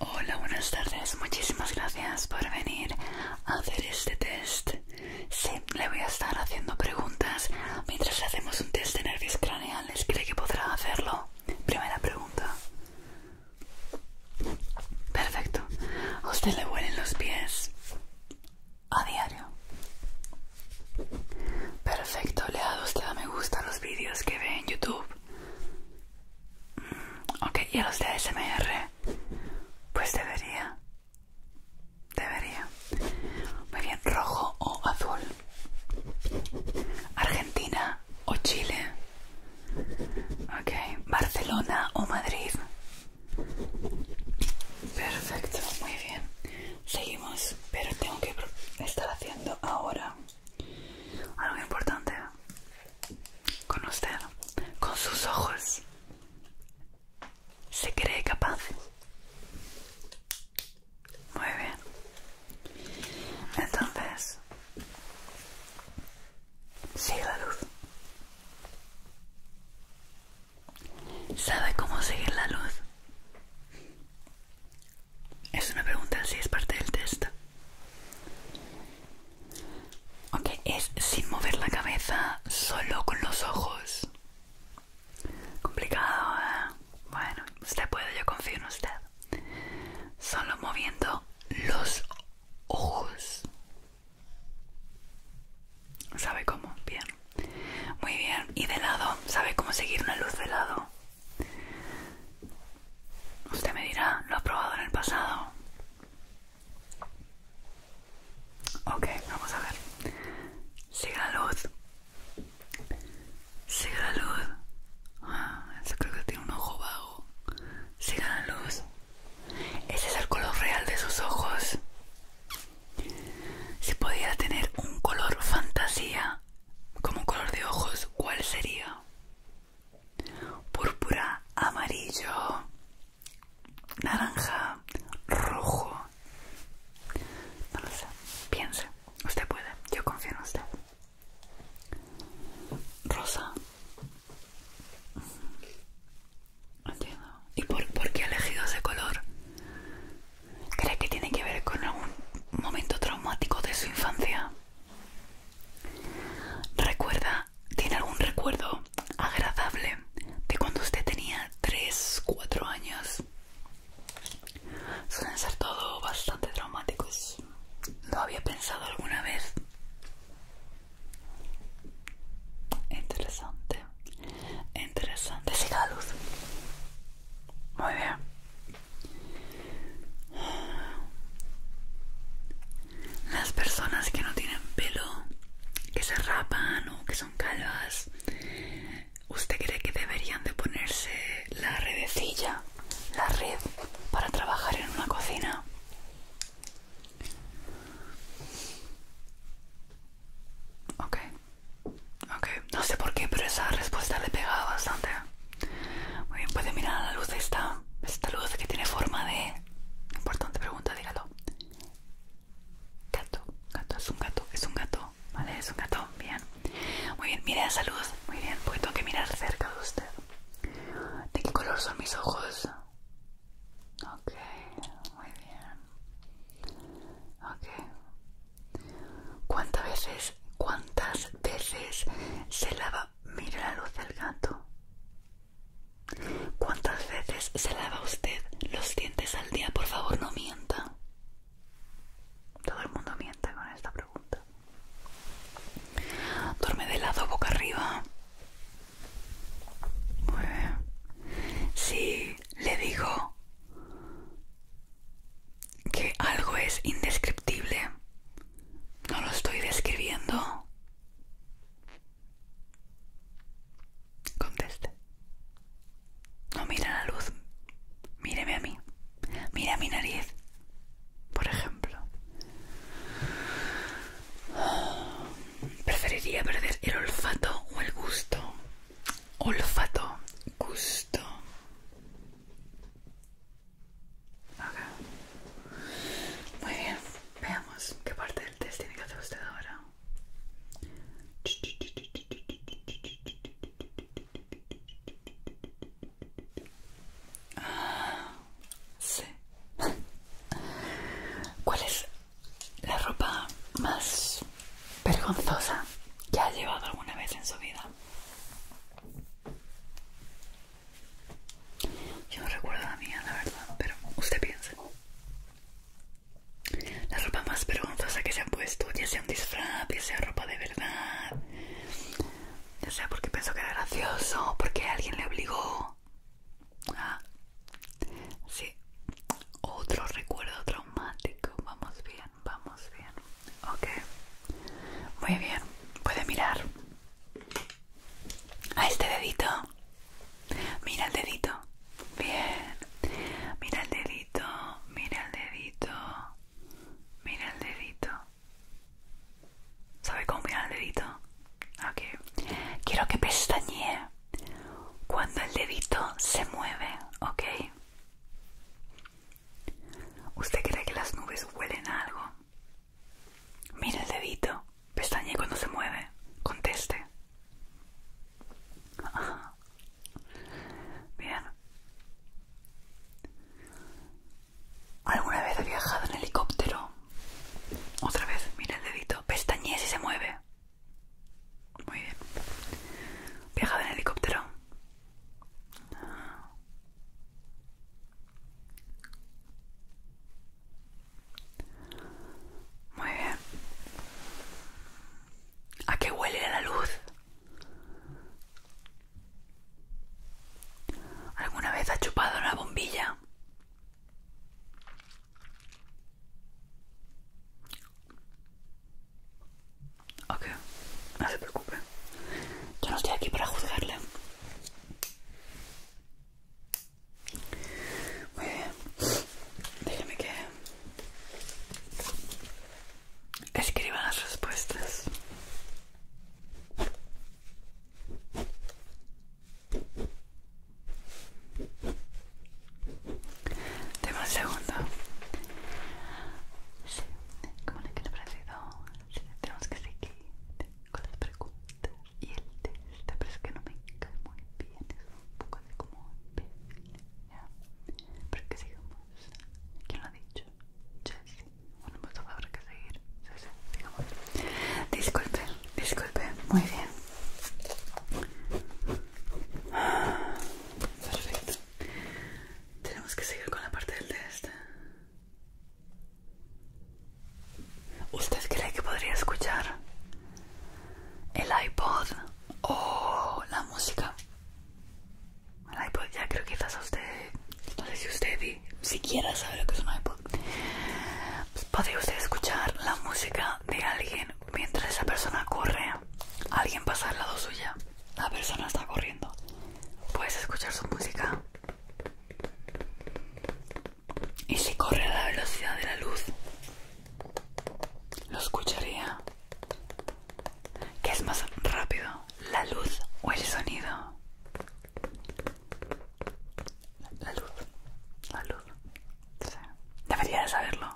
Hola, buenas tardes. Muchísimas gracias por venir a hacer este test. Sí, le voy a estar haciendo preguntas mientras hacemos un test de nervios craneales. ¿Cree que podrá hacerlo? Primera pregunta. Perfecto. ¿A usted le huelen los pies? A diario. Perfecto, le ha dado usted a me gusta a los vídeos que ve en YouTube. Mm, ok, ¿y a los de ASMR? Pues debería. Debería. Muy bien, rojo o azul. Argentina o Chile. Ok, Barcelona o Madrid. Perfecto, muy bien. Seguimos, pero tengo que estar haciendo ahora algo importante con usted, con sus ojos. ¿Se cree capaz? Muy bien. Entonces, sigue la luz. ¿Sabe cómo seguir la luz? ¿Es una pregunta? si es parte del test. Ok, es sin mover la cabeza, solo con los ojos. Complicado, ¿eh? Bueno, usted puede, yo confío en usted. Solo moviendo los ojos. ¿Sabe cómo? Bien. Muy bien. ¿Y de lado? ¿Sabe cómo seguir una luz de lado? Usted me dirá, ¿lo ha probado en el pasado? Ok, vamos a ver. Siga la luz. Siga la luz. Ah, eso creo que tiene un ojo vago. Siga la luz. Ese es el color real de sus ojos. Si podía tener un color fantasía, como color de ojos, ¿cuál sería? Púrpura, amarillo, naranja, rojo. No lo sé, piense. Usted puede, yo confío en usted. Rosa. Entiendo. ¿Y por, por qué ha elegido ese color? ¿Cree que tiene que ver con algún momento traumático de su infancia? ¿Recuerda, tiene algún recuerdo agradable de cuando usted tenía 3, 4 años? Suelen ser todo bastante traumáticos. ¿Lo había pensado alguna vez? Interesante, interesante. Siga la luz. Muy bien. Las personas que no tienen pelo, que se rapan o que son calvas, ¿usted cree que deberían de ponerse la redecilla, la red, para trabajar en una cocina? Ok, Ok, no sé por qué, pero esa respuesta le pegaba bastante. Muy bien, puede mirar a la luz de esta, esta luz que tiene forma de... Importante pregunta, dígalo. Gato, gato, es un gato, es un gato, ¿vale? Es un gato, bien. Muy bien, mire esa luz, muy bien, porque tengo que mirar cerca de usted. ¿De qué color son mis ojos? Ok, muy bien. Ok, ¿Cuántas veces, cuántas veces se lava? Mire la luz del gato. ¿Cuántas veces se lava usted los dientes al día? Por favor, no mienta. Todo el mundo miente con esta pregunta. Duerme de lado, boca arriba. Sí, le digo que algo es indescriptible. No lo estoy describiendo. Conteste. No mira la luz. Míreme a mí. Mira mi nariz. Por ejemplo. Preferiría perder el olfato o el gusto. Olfato, gusto. Muy bien. Veamos qué parte del test tiene que hacer usted ahora. Ah, sí. ¿Cuál es la ropa más vergonzosa que ha llevado alguna vez en su vida? Yo no recuerdo la mía, la verdad, pero usted piensa. La ropa más vergonzosa que se ha puesto, ya sea un disfraz, ya sea ropa de verdad, ya sea porque pensó que era gracioso, porque alguien le obligó. Ah, sí. Otro recuerdo traumático. Vamos bien, vamos bien. Ok. Muy bien, puede mirar a este dedito. Mira el dedito. Bien. Mira el dedito, mira el dedito, mira el dedito. ¿Sabe cómo mirar el dedito? Ok. Quiero que pestañe cuando el dedito se mueve, ¿ok? ¿Usted cree que las nubes huelen a algo? Mire el dedito, pestañe cuando se mueve, conteste. Bien. ¿Alguna vez ha viajado en helicóptero? Otra vez, mira el dedito, pestañe si se mueve. Muy bien. ¿Viajado en helicóptero? Muy bien. ¿A qué huele la luz? ¿Alguna vez has chupado una bombilla? Ok, no se preocupe. Yo no estoy aquí para juzgarle. Muy bien. Déjeme que escriba las respuestas. Tengo un segundo. Sí, ¿cómo le quiero parecido? tenemos que seguir con las preguntas y el test, pero es que no me cae muy bien, es un poco así como ¿ya? Pero que sigamos, ¿quién lo ha dicho? Jessie, bueno, pues favor, hay que seguir, sí, sí, sigamos. Disculpe, disculpe, muy bien. Ah, perfecto. Tenemos que seguir con la parte del test. ¿Usted cree que podría escuchar el iPod o la música? El iPod ya creo que quizás a usted, no sé si usted siquiera sabe lo que es un iPod. Pues, ¿Podría usted escuchar la música de alguien mientras esa persona corre? ¿Alguien pasa al lado suya? La persona está corriendo. Puedes escuchar su música. Y si corre a la velocidad de la luz, lo escucharía. ¿Qué es más rápido? ¿La luz o el sonido? La luz. La luz. Debería de saberlo.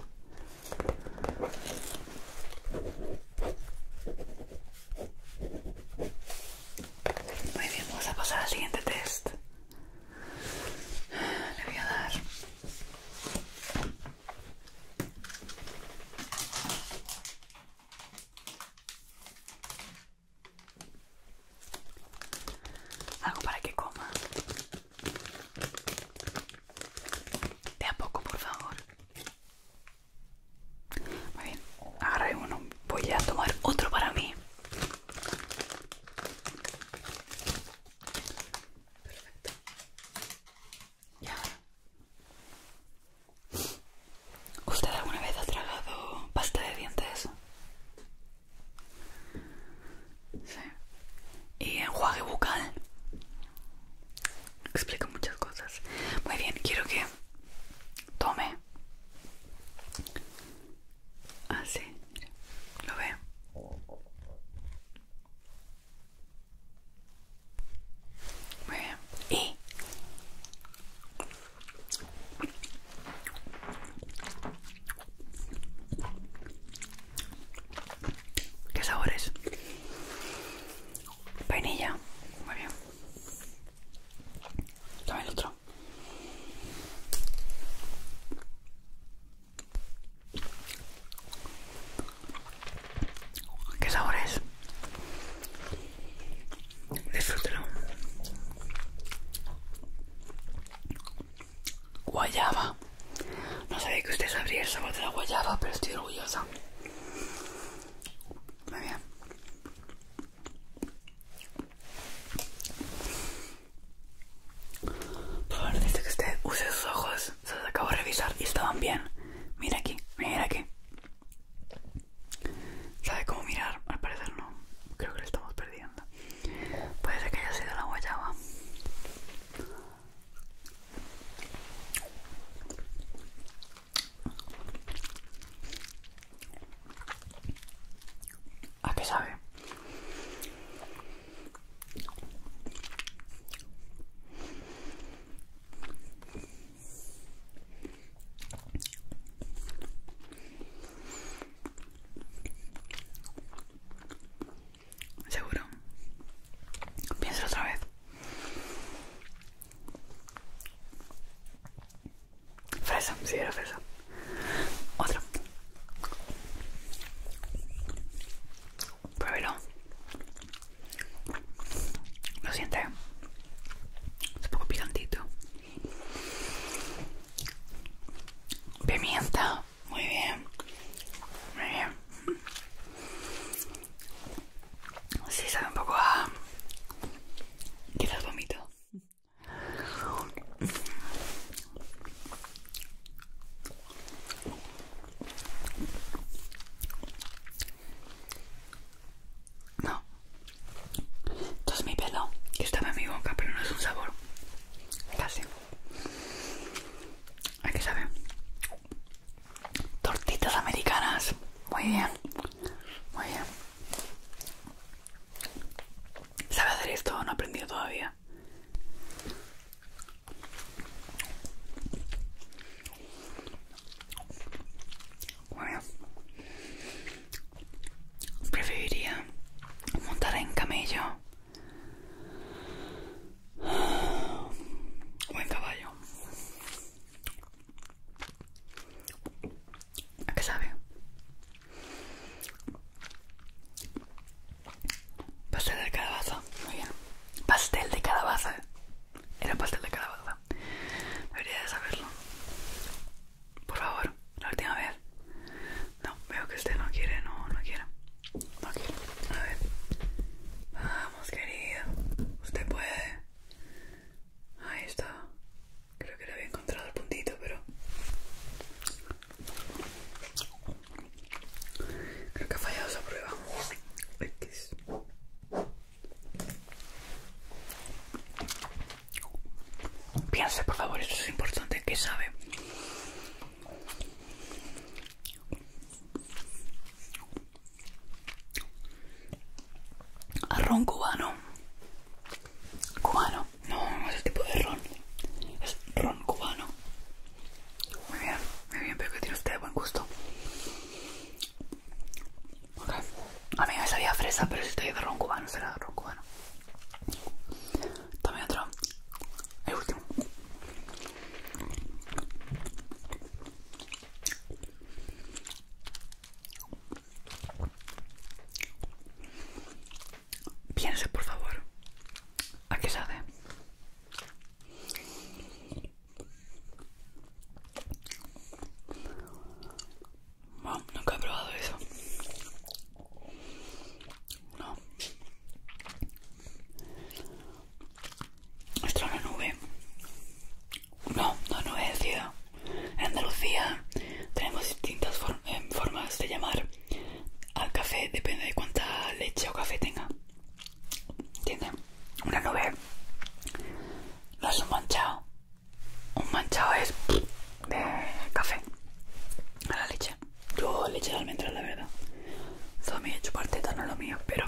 Muy bien, vamos a pasar al siguiente test. Le voy a dar algo para que coma. De a poco, por favor. Muy bien, agarré uno. Voy a tomar otro para mí. Perfecto. Y ¿Usted alguna vez ha tragado pasta de dientes? Sí. ¿Y enjuague bucal? Explica muchas cosas. Muy bien, quiero que tome. Así, lo ve. Muy bien. Y ¿Qué sabores? Vainilla, muy bien. Dame el otro. ¿Qué sabor es? Disfrútelo. Guayaba. No sabía que usted sabría el sabor de la guayaba, pero estoy orgullosa. Muy bien. Por favor, que usted use sus ojos. Se los acabo de revisar y estaban bien. Mira aquí, mira aquí. ¿Sabe cómo mirar? Al parecer no. Creo que lo estamos perdiendo. Puede ser que haya sido la guayaba. ¿A qué sabe? Seguro. Piensa otra vez. Fresa, si era fresa. Otra. Pruébelo. Lo siente. Es un poco picantito. Pimienta. Muy bien. Muy bien. Sí, sabe un poco a... Quizás vomito. No. Esto es mi pelo, y estaba en mi boca, pero no es un sabor. Casi. ¿A que sabe? Tortitas americanas. Muy bien. Muy bien. ¿Sabe hacer esto? No he aprendido todavía. Bueno, preferiría montar en camello o en caballo. ¿A qué sabe? Pastel de calabaza, muy bien. Pastel de calabaza. Era pastel de calabaza. Debería de saberlo. Por favor, la última vez. No, veo que usted no quiere, no, no quiere. No quiere. A ver. Vamos, querido. Usted puede. Ahí está. Creo que le había encontrado el puntito, pero... Creo que ha fallado esa prueba. X. Piense, por favor, eso es importante, que sabe ron cubano cubano no no es el tipo de ron es ron cubano muy bien muy bien pero que tiene usted buen gusto a mí me sabía fresa pero si estoy de ron cubano será ron cubano también otro el último Piense, por favor, ¿a qué sabe? No, nunca he probado eso. No. Extraña una nube. No, no, no es decía. En Andalucía tenemos distintas em, formas de llamar al café, depende de cuánta leche o café tenga. Tiene Una nube no es un manchado. Un manchado es de café a la leche. Yo leche de almendras, la verdad. Eso me he hecho parte, no es lo mío, pero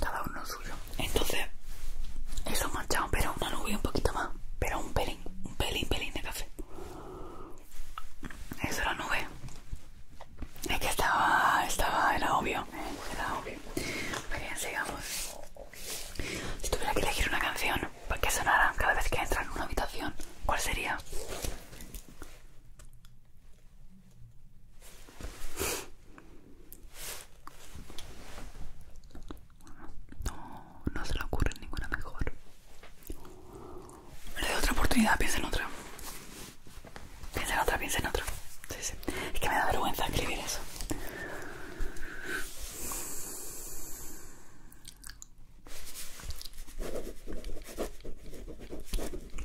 cada uno suyo. Entonces, eso manchado, pero una nube un poquito más, pero un pelín, un pelín, pelín de café. Eso era nube. Es que estaba, estaba, era obvio, era obvio. Bien, sigamos. Si tuviera que elegir una canción para pues que sonara cada vez que entra en una habitación, ¿cuál sería? No, no se le ocurre ninguna mejor. Le doy otra oportunidad, piensa en otra. Piensa en otra, piensa en otra. Sí, sí. Es que me da vergüenza escribir eso.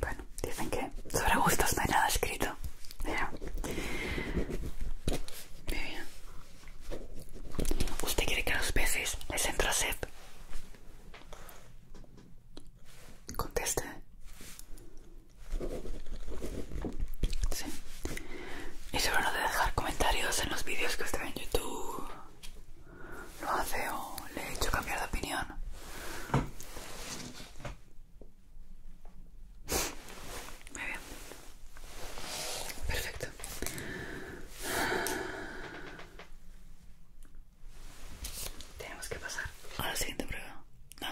Bueno, dicen que sobre gustos no hay nada escrito. Muy bien. ¿Usted quiere que a los peces les entra sed? Conteste. Y sobre no de dejar comentarios en los vídeos que usted ve en YouTube. Lo hace o le he hecho cambiar de opinión. Muy bien. Perfecto. Tenemos que pasar a la siguiente prueba. No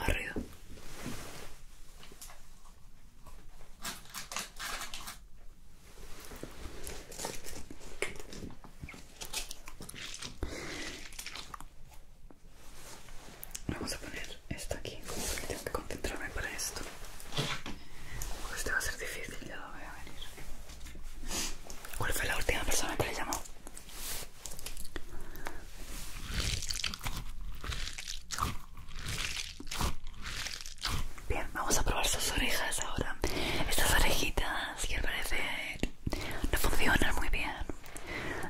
Vamos a poner esto aquí. Tengo que concentrarme para esto. Este va a ser difícil, ya voy a venir. ¿Cuál fue la última persona que le llamó? Bien, vamos a probar sus orejas ahora. Estas orejitas que al parecer no funcionan muy bien.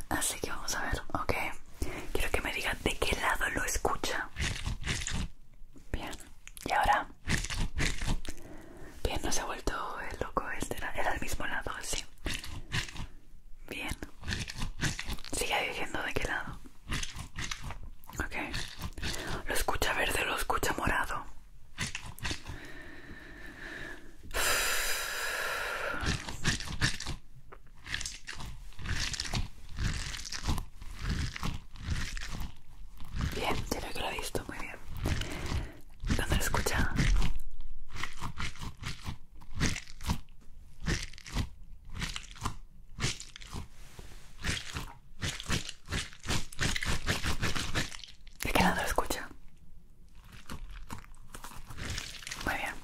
Así que vamos a ver, ok. Quiero que me diga de qué lado lo escucha. Bien, y ahora. Bien, no se ha vuelto el loco este, era, era el mismo lado, sí. Bien. Sigue diciendo de qué lado. Ok. Lo escucha verde, lo escucha morado. Bien, creo que lo he visto muy bien. ¿Dónde lo escucha? ¿De qué lado escucha? Muy bien.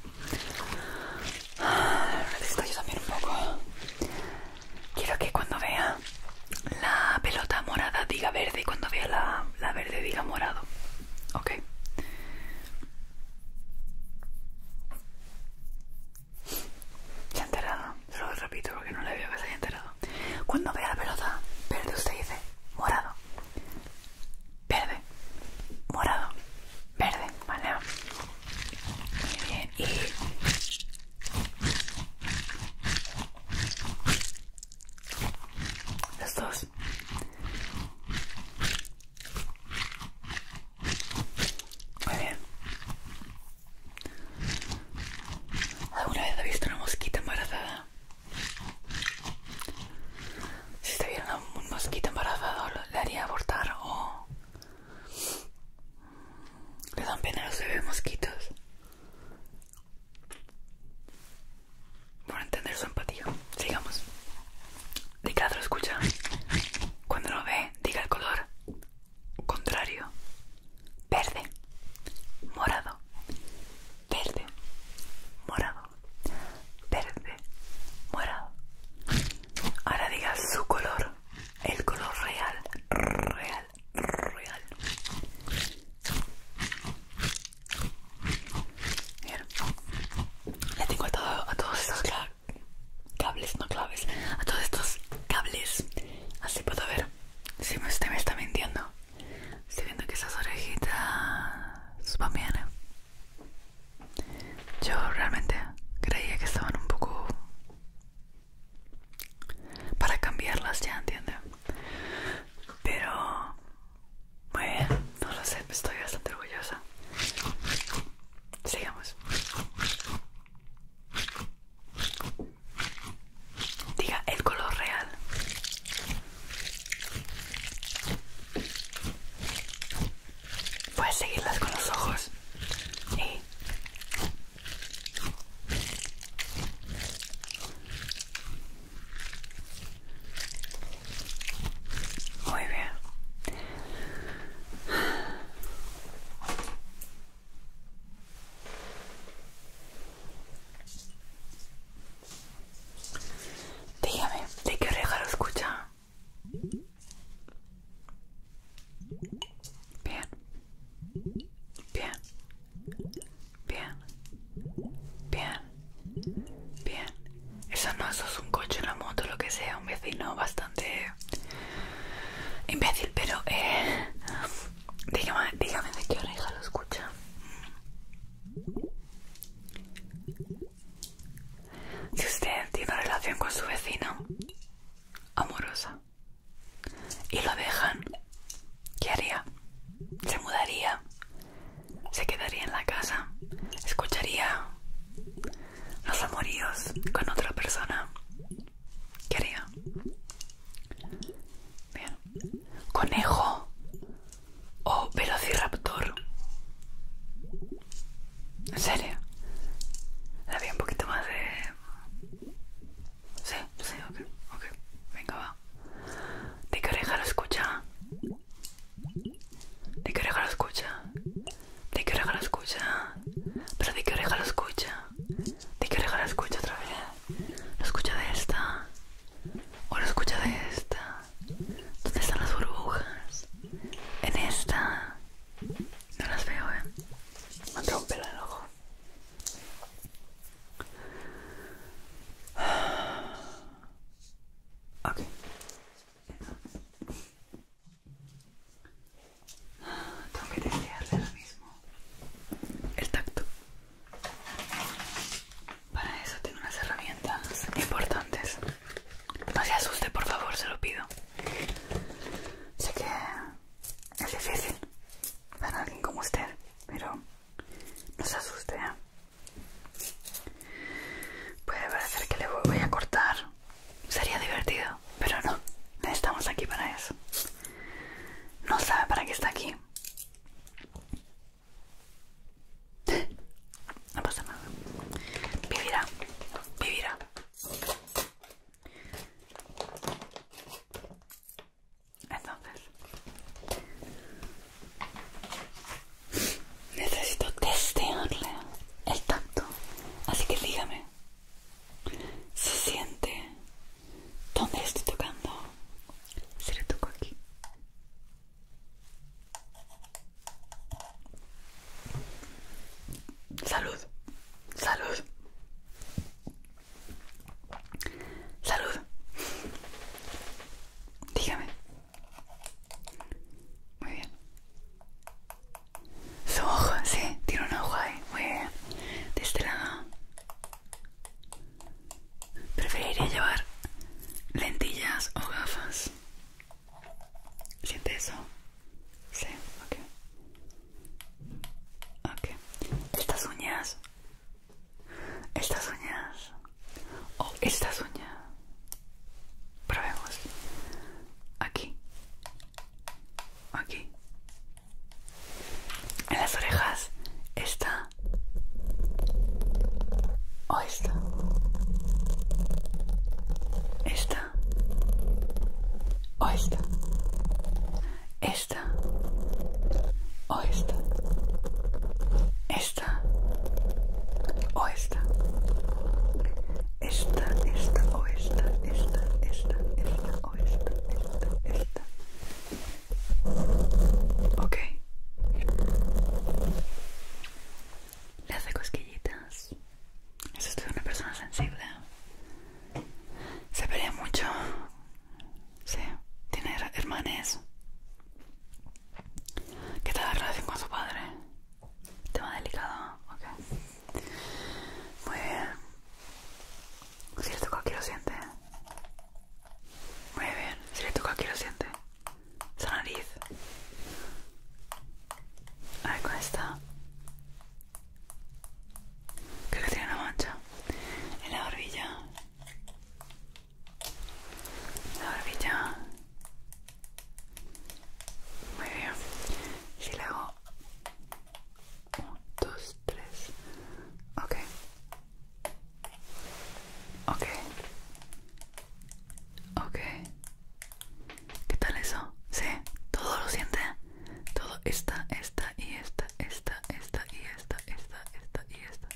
Ah, necesito yo también un poco. Quiero que cuando vea la pelota morada diga verde y cuando vea la, verde diga morado. Ok. Se ha enterado. Se lo repito porque no le veo que se haya enterado. Cuando vea la pelota verde usted dice morado verde, morado, verde, vale. Muy bien, y. Los dos. Muy bien. ¿Alguna vez has visto una mosquita embarazada? si estuviera un mosquito embarazado le haría abortar o le dan pena a los bebés mosquitos por entender su empatía sigamos Ricardo escucha cuando lo ve diga el color contrario verde morado verde morado verde, morado. Ahora diga su color, el color real, real, real. Le tengo a todos estos cables, no claves, a todos estos cables. Así puedo ver si usted me está mintiendo. Estoy viendo que esas orejitas van bien. ¿eh? Yo realmente creía que estaban un poco para cambiarlas ya, ¿entiendes? Pero muy no lo sé, estoy bastante orgullosa. Sigamos. Diga el color real. Puedes seguirlas con los ojos. Muy bien. Dígame, ¿de qué oreja lo escucha? Bien. Bien. Bien. Bien. Bien. Eso no, eso es un coche, una moto, lo que sea, un vecino bastante imbécil, pero eh, dígame, de qué hora oreja lo escucha. Si usted tiene una relación con su vecino amorosa y lo dejan, ¿qué haría? ¿Se mudaría? ¿Se quedaría en la casa? ¿Escucharía los amoríos con otra persona? ¿Qué haría? ¿Conejo o velociraptor? ¿En serio? Había un poquito más de... Sí, sí, ok, ok. Venga, va. ¿De qué oreja lo escucha? ¿De qué oreja lo escucha? ¿De qué oreja lo escucha? ¿Pero de qué oreja lo escucha? ¿De qué oreja lo escucha otra vez? ¿Lo escucha de esta? ¿O lo escucha de esta? ¿Dónde están las burbujas? ¿En esta? No las veo, eh. Me un pelo el ojo. Tengo que testearle lo mismo el tacto. Para eso tengo unas herramientas importantes. No se asuste, por favor, se lo pido. Sé que es difícil para alguien como usted, pero no se asuste. ¿eh? Puede parecer que le voy a cortar. Sería divertido, pero no. Estamos aquí para eso. No sabe para qué está aquí. No pasa nada. Vivirá, vivirá. Entonces, necesito testearle el tacto. Así que dígame, ¿se siente dónde estoy tocando? Si le toco aquí. Salud, salud, salud. Dígame. Muy bien. Su ojo, sí, tiene un ojo ahí. Muy bien. De este lado. Preferiría llevar lentillas o gafas. ¿Siente eso? Sí, ok. Estas uñas. Estas uñas. O oh, estas uñas. Probemos. Aquí. Aquí. En las orejas. Esta. O esta. Esta esta o esta esta o esta esta o esta esta esta o esta esta esta esta o esta esta esta ok le hace cosquillitas eso es una persona sensible. Se pelea mucho. Sí, tiene hermanes. ¿Qué tal la relación con su padre? Tema delicado, Muy bien. Si le toca aquí lo siente. Muy bien, si le toca aquí lo siente. Esa nariz. A ver con esta. Creo que tiene una mancha. En la barbilla. La barbilla. Muy bien. Si le 1, 2, 3. Ok. Ok. Ok. ¿Qué tal eso? ¿Sí? ¿Todo lo siente? Todo esta, esta y esta, esta, esta y esta, esta, esta y esta.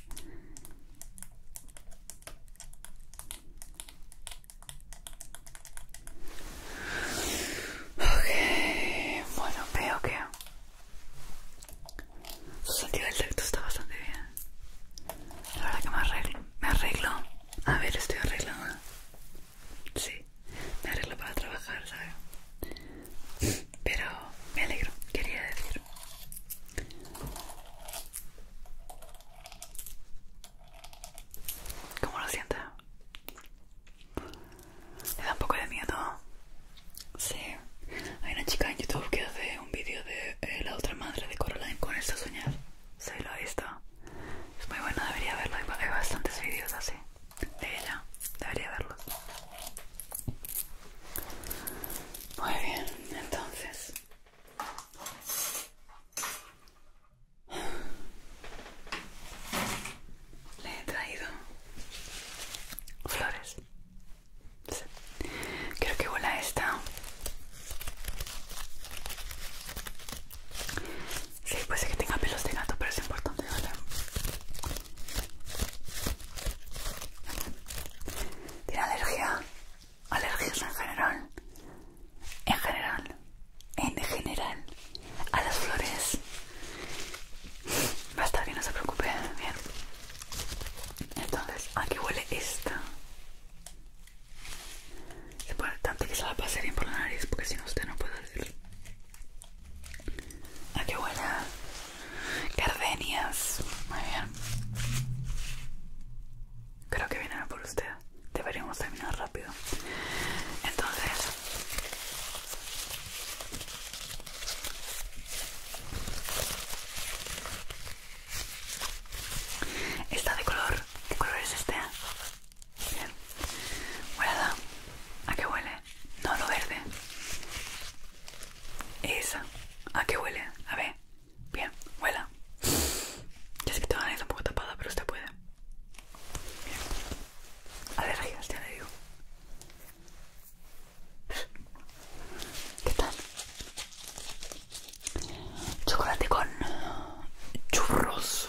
Ok, bueno, veo que su sentido del tacto está bastante bien. La verdad que me arreglo, me arreglo. A ver, estoy arreglando Sí, me arreglo para trabajar, ¿sabes? Pero me alegro, quería decir. ¿Cómo lo sientes? ¿Le da un poco de miedo? Sí. Hay una chica en YouTube que hace un vídeo de eh, la otra madre de Coraline con esta soñar. ¿Se lo ha visto? Es muy bueno, debería verlo. Hay bastantes vídeos así de ella. Debería verlo Muy bien, entonces. Le he traído flores. Creo Quiero que bola esta Sí, puede es que tenga pelos de gato, pero es importante, ¿vale? ¿Tiene alergia? ¿Alergias en general? En general, en general, a las flores. Basta que no se preocupe, bien. Entonces, aquí huele esta. Se puede tanto que se la pase bien por la nariz porque si no usted no puede decir Ah, qué buena Gardenias Muy bien Creo que viene por usted Deberíamos terminar rápido Entonces Está de color ¿Qué color es este? Bien. ¿A qué huele? No, lo verde. Esa. ¿A qué huele? A ver. Bien, huela. Ya sé que tengo la nariz un poco tapada, pero usted puede. Bien. Alergias, ya le digo. ¿Qué tal? Chocolate con churros.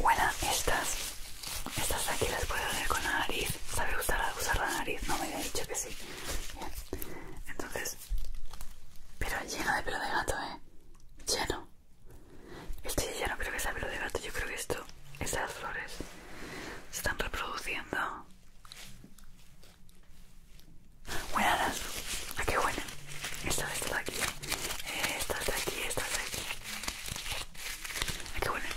Bueno, estas, estas aquí las puedo hacer con la nariz. ¿Sabe usar, la nariz? No me había dicho que sí. Entonces, pero lleno de pelo de gato, ¿eh? Lleno. Este ya no creo que sea pelo de gato, yo creo que esto, estas flores se están reproduciendo. Buenas, ¿a qué buena? Esta, de aquí, eh, esta de aquí, esta de aquí. qué huelen?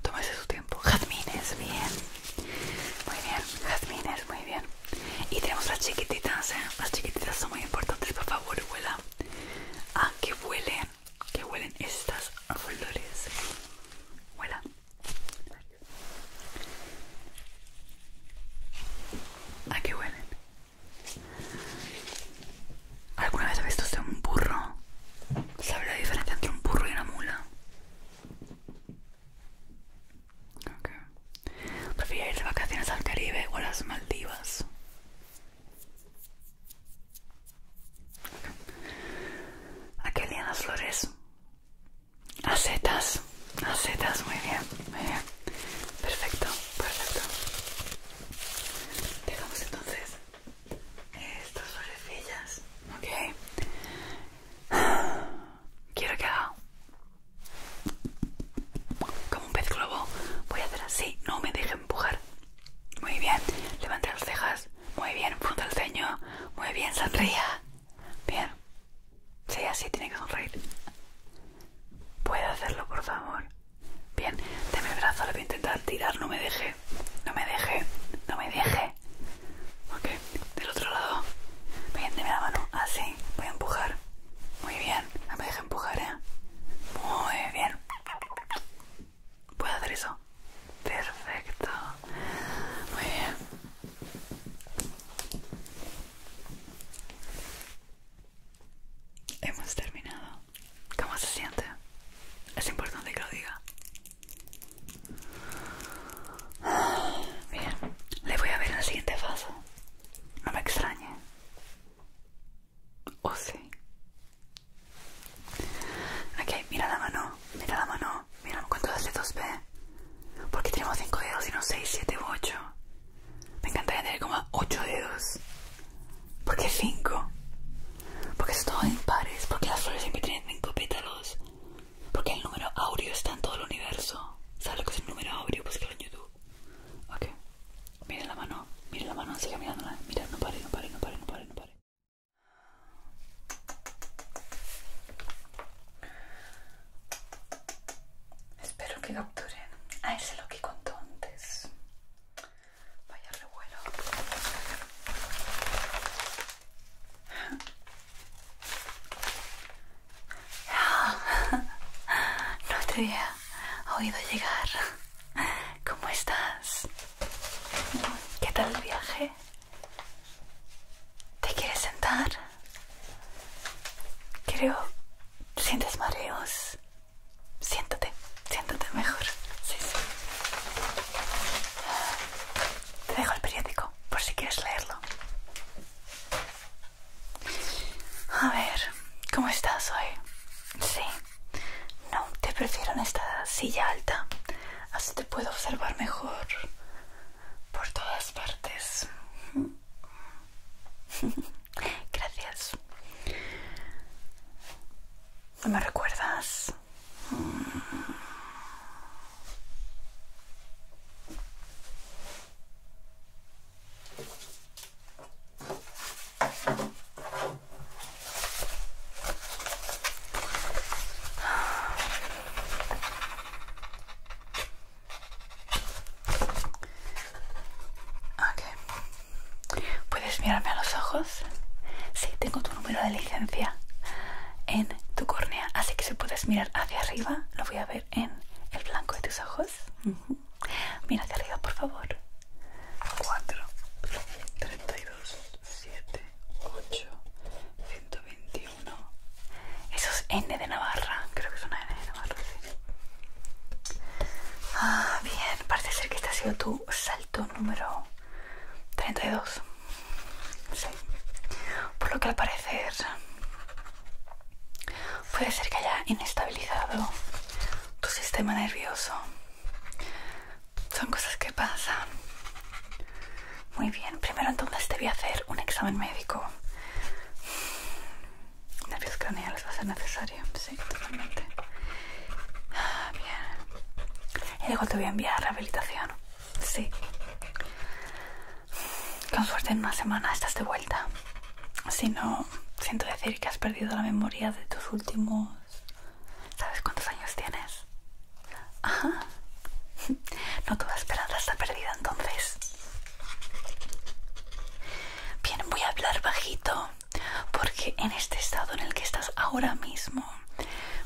Tómese su tiempo. Jazmines, bien. Muy bien, jazmines, muy bien. Y tenemos las chiquititas, ¿eh? Las chiquititas son muy importantes, por favor, huela. A ah, que huelen que huelen estas flores. Huela. ¿A qué huelen? ¿Alguna vez has visto usted un burro? ¿Sabe la diferencia entre un burro y una mula? Ok. ir de vacaciones al Caribe o a las Maldivas? aquel día las flores. Acetas, acetas, muy bien, muy bien. Perfecto, perfecto. Dejamos entonces estas florecillas, ok. Quiero que haga como un pez globo. Voy a hacer así, no me deje empujar. Muy bien, levante las cejas. Muy bien, punta el ceño. Muy bien, sonría. Bien. Sí, así tiene que sonreír. ¿Puedo hacerlo, por favor? Bien, deme el brazo, le voy a intentar tirar. No me deje. No me deje. No me deje. Ok, del otro lado. Bien, deme la mano. Así. Ah, voy a empujar. Muy bien. No me deje empujar, ¿eh? Muy bien. ¿Puedo hacer eso? Perfecto. Muy bien. Hemos terminado. ¿Cómo se siente? Es importante que lo diga. Bien, le voy a ver en la siguiente fase. No me extrañe. ¿O sí? Ok, mira la mano, mira la mano, mira cuántos dedos ve. Porque tenemos 5 dedos y no 6, 7 u 8. Me encantaría tener como 8 dedos. ¿Por qué 5? Porque es todo ¿Por porque las flores siempre tienen 5 pétalos. Porque el número audio está en todo el universo. ¿Sabes lo que es el número audio? Pues que lo en YouTube. Ok, mira la mano, mira la mano, sigue mirándola. Mira, no no pare, no pare, no pare. Espero que capturen a ah, ese lo que contó antes. Vaya revuelo. No te había oído llegar. ¿Cómo estás? ¿Qué tal el viaje? ¿Te quieres sentar? Creo... ¿Sientes mareos? Siéntate, siéntate mejor. Sí, sí. Te dejo el periódico por si quieres leerlo. A ver, ¿cómo estás hoy? Sí. No, te prefiero en esta silla alta. Así te puedo observar mejor por todas partes. Gracias. ¿No me recuerdas? ¿Puedes mirarme a los ojos? Sí, tengo tu número de licencia en tu córnea, así que si puedes mirar hacia arriba, lo voy a ver en el blanco de tus ojos. Mira hacia arriba, por favor. 4, 32, 7, 8, 121. Eso es N de Navarra. Creo que es una N de Navarra, Ah, bien. Parece ser que este ha sido tu salto número 32. Sí. Por lo que al parecer puede ser que haya inestabilizado tu sistema nervioso son cosas que pasan. Muy bien, primero entonces te voy a hacer un examen médico. Nervios craneales va a ser necesario, sí, totalmente. Ah, bien. Y luego te voy a enviar a rehabilitación. Sí. Con suerte en una semana estás de vuelta. Si no, siento decir que has perdido la memoria de tus últimos ¿Sabes cuántos años tienes? Ajá. No toda esperanza está perdida entonces. Bien, voy a hablar bajito porque en este estado en el que estás ahora mismo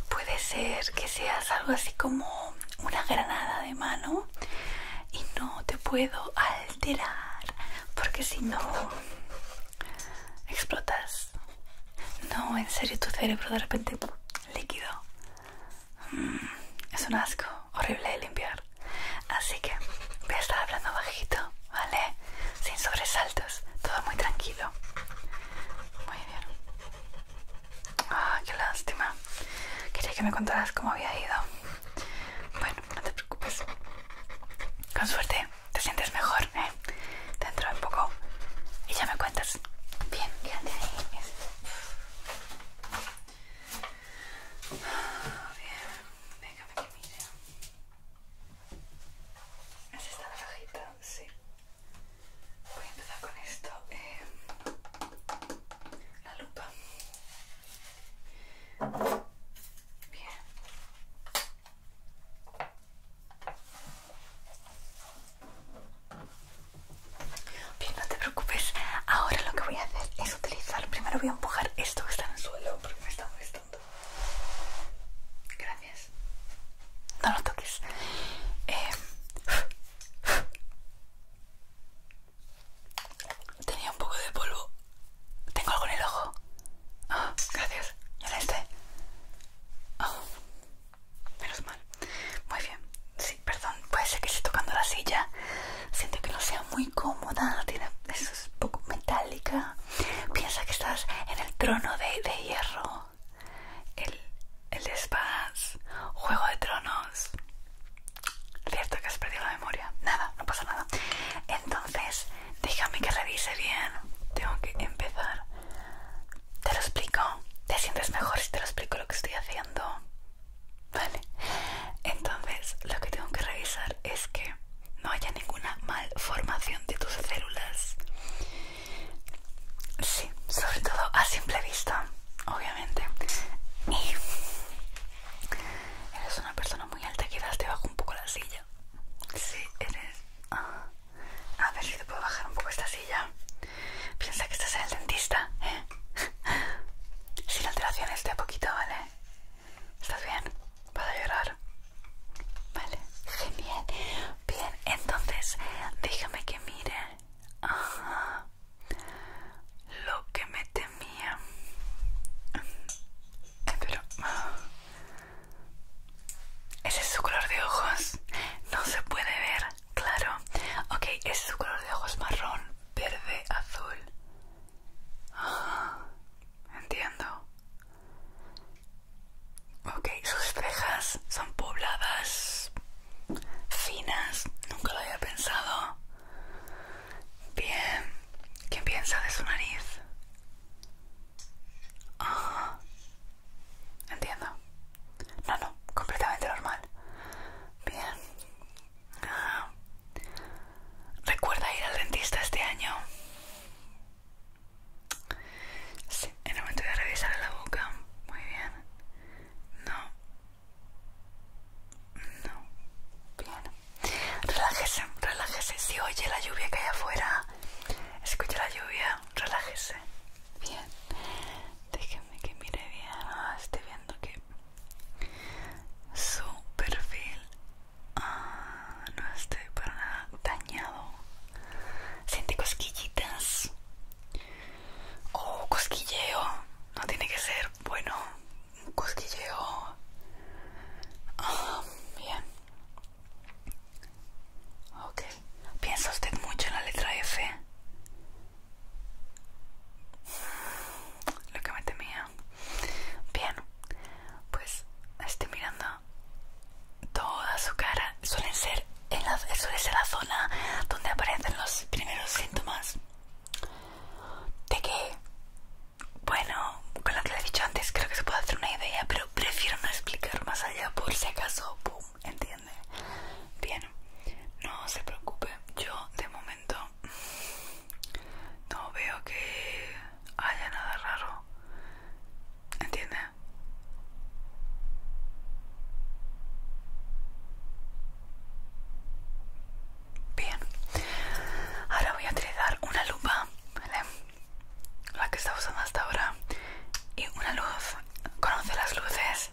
puede ser que seas algo así como una granada de mano y no te puedo alterar porque si no explotas. No, en serio, tu cerebro de repente líquido. Mm, es un asco, horrible de limpiar. Así que voy a estar hablando bajito, ¿vale? Sin sobresaltos, todo muy tranquilo. Muy bien. Ah, qué lástima. Quería que me contaras cómo había ido. Bueno, no te preocupes. Con suerte, te sientes mejor, ¿eh? dentro de poco y ya me cuentas. Bien, quédate ahí. Bien, déjame que mire. esta la cajita? Sí. Voy a empezar con esto. la lupa. Bien. Bien, no te preocupes. Ahora lo que voy a hacer es utilizar. Primero voy a empujar esto que está en el suelo porque me está molestando. Gracias. No lo toques. Eh, tenía un poco de polvo. Tengo algo en el ojo. Ah, gracias. ya en este? menos mal. Muy bien, sí, perdón, puede ser que esté tocando la silla. Siento que no sea muy cómoda, tiene, es un poco metálica. Piensa que estás en el trono de, de hierro, el, el de juego de tronos. Cierto que has perdido la memoria. Nada, no pasa nada. Entonces, déjame que revise bien. Tengo que empezar ¿Te lo explico? ¿Te sientes mejor si te lo explico lo que estoy haciendo? Vale. Entonces, lo que tengo que revisar es que no haya ninguna malformación de tus células. Sí, sobre todo a simple vista, obviamente. Y eres una persona muy alta, quizás te bajo un poco la silla. Sí, eres. Ah, a ver si te puedo bajar un poco esta silla. Piensa que estás en el dentista, ¿eh? Sin alteraciones de a poquito, ¿vale? ¿Estás bien? ¿Puedo a llorar? Vale, genial. Bien, entonces déjame que mire. Lo que me temía. Pero... Ese es su color de ojos. No se puede ver. Claro. Ok, es su color de ojos marrón, verde, azul. Ah, entiendo. Ok, sus cejas son pobladas, finas, nunca lo había pensado. Bien, ¿Quién piensa de su nariz? Ah, Entiendo. No, no, completamente normal. Bien. Ah, ¿Recuerda ir al dentista este año? Sí, en el momento de revisar la boca. Muy bien. No. No. Bien. Relájese, relájese. Si oye la lluvia que hay afuera, escucha la lluvia, relájese. Bien. Déjenme que mire bien. Ah, estoy viendo que su perfil ah, no está para nada dañado. Siente cosquillitas. Oh, cosquilleo. No tiene que ser bueno. Cosquilleo. Ah, bien. Ok. ¿Piensa usted mucho en la letra F? Lo que me temía. Bien. Pues estoy mirando toda su cara. Suelen ser en la, suele ser la zona donde aparecen los primeros síntomas de que, bueno, con lo que le he dicho antes, creo que se puede hacer una idea, pero prefiero no explicar más allá por si acaso entiende bien no se preocupe yo de momento no veo que haya nada raro entiende bien ahora voy a utilizar una lupa ¿vale? la que está usando hasta ahora y una luz conoce las luces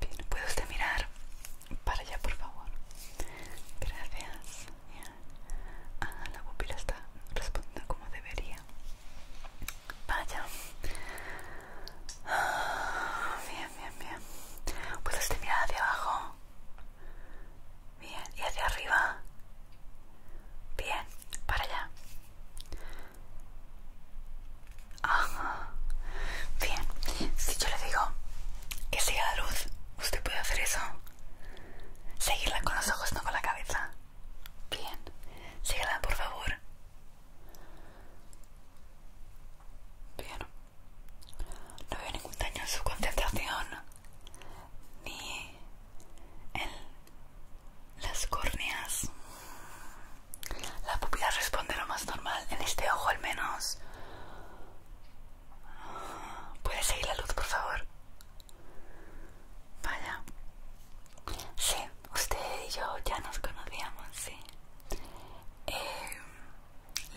Bien, ¿puede usted mirar para allá, por favor? Gracias. Ah, la pupila está respondiendo como debería. Vaya. Ah, bien, bien, bien. ¿Puede usted mirar hacia abajo? Bien, ¿y hacia arriba? Bien, para allá. Ajá. Bien, si yo le digo que siga la luz, ¿usted puede hacer eso? Seguirla con los ojos, no con la cabeza. Bien, Síguela, por favor. Bien. No veo ningún daño en su concentración, ni en las córneas. La pupila responde lo más normal, en este ojo al menos. ¿Puede seguir la luz, por favor? Vaya. Sí, usted y yo ya nos conocíamos, sí. Eh,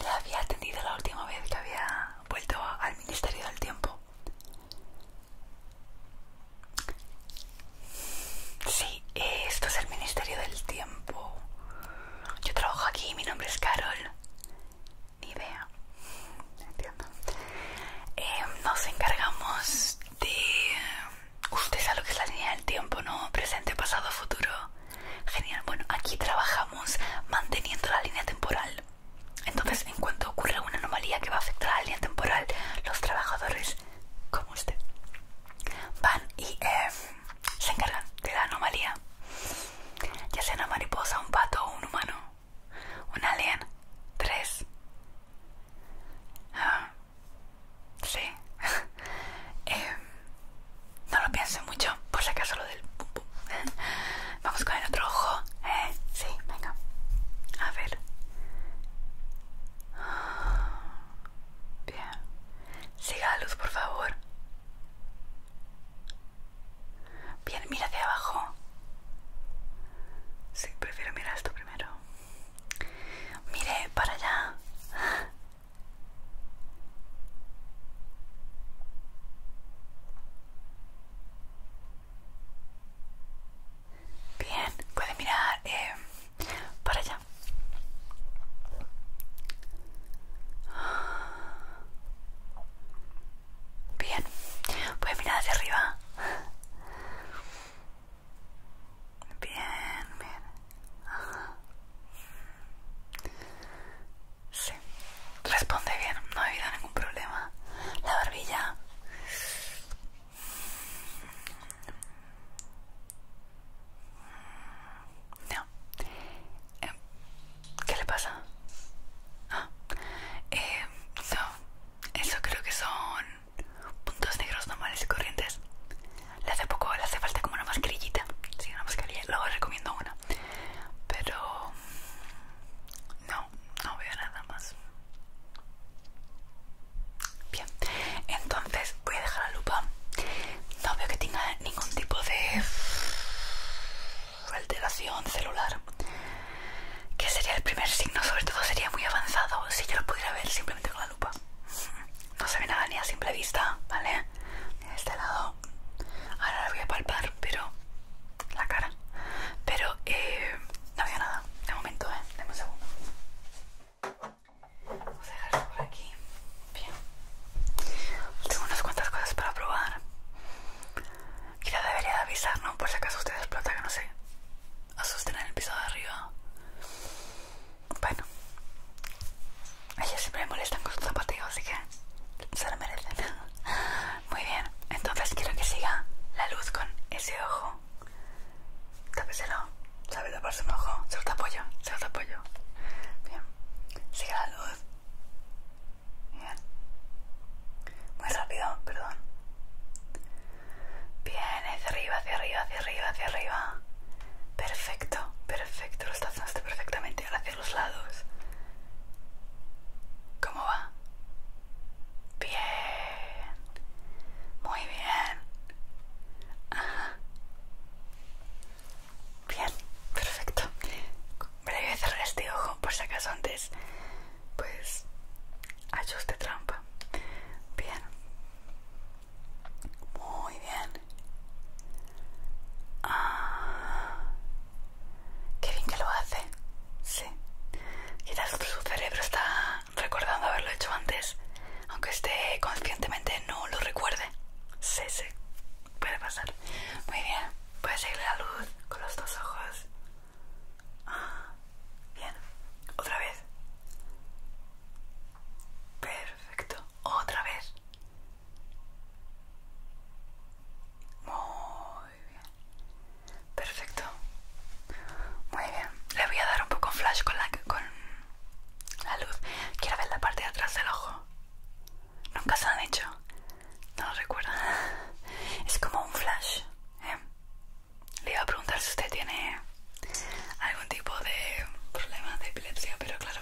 le había atendido la última vez que había vuelto al Ministerio del Tiempo. Sí, eh, esto es el Ministerio del Tiempo yo trabajo aquí, mi nombre es Carol. Ni idea. Entiendo. Eh, nos encargamos de... Usted sabe lo que es la línea del tiempo, ¿no? Presente, pasado, futuro. Genial. Bueno, aquí trabajamos manteniendo la línea temporal. Entonces, en cuanto ocurre una anomalía que va a afectar a la línea temporal, los trabajadores, como usted, van y... Eh, se encargan de la anomalía, ya sea una mariposa, un pato, un humano, un alien, tres. Ah, sí. Eh, no lo pienso mucho, por si acaso lo del pum Vamos con el otro ojo. Eh, sí, venga. A ver. Bien. Siga la luz, por favor. Bien, mira hacia abajo. Sí, prefiero mirar esto primero. Mire, para allá. Bien, puede mirar eh, para allá. Bien, voy a mirar hacia arriba. Bien, bien. Sí, responde bien, no ha habido ningún problema. La barbilla. No. Eh, ¿Qué le pasa? no. Ah, eh, eso creo que son puntos negros normales y corrientes. hace poco, le hace falta como una mascarillita. Sí, una mascarilla. Luego recomiendo una. Pero... No, no veo nada más. Bien, entonces Voy a dejar la lupa. No veo que tenga ningún tipo de alteración celular. Que sería el primer signo, sobre todo sería muy avanzado si yo lo pudiera ver simplemente con la lupa. No se ve nada ni a simple vista, ¿vale? De este lado. Ahora lo voy a palpar, pero la cara. Pero eh, no veo nada. De momento, ¿eh? Dame un segundo. Vamos a dejarlo por aquí. Bien. Tengo unas cuantas cosas para probar. Quizá debería de avisar, ¿no? Por si acaso usted explota, que no sé. Asusten en el piso de arriba. Bueno. Ellos siempre me molestan con sus zapatillo, así que se lo merecen. Muy bien. Entonces quiero que siga la luz con ese ojo. Tápeselo. ¿Sabe taparse un ojo? Se lo tapo yo. Se lo tapo Bien. Sigue la luz. Bien. Muy rápido, perdón. Bien, hacia arriba, hacia arriba, hacia arriba, hacia arriba. Perfecto, perfecto, lo estás haciendo perfectamente. Ahora hacia los lados. ¿Cómo va? Bien. Muy bien. Ajá. Bien, perfecto. voy a cerrar este ojo por si acaso antes. Pues ajuste trampa. Bien. Muy bien. Ah, qué bien que lo hace. Sí. Quizás su cerebro está recordando haberlo hecho antes, aunque esté conscientemente no lo recuerde. Sí, sí. Puede pasar. Muy bien. Puedes seguir la luz con los dos ojos. Ah, bien. Otra vez. Perfecto. Otra vez. Muy bien. Perfecto. Muy bien. Le voy a dar un poco flash con la, con la luz. Quiero ver la parte de atrás del ojo nunca se han hecho. No lo Es como un flash. ¿eh? Le iba a preguntar si usted tiene algún tipo de problema de epilepsia, pero claro.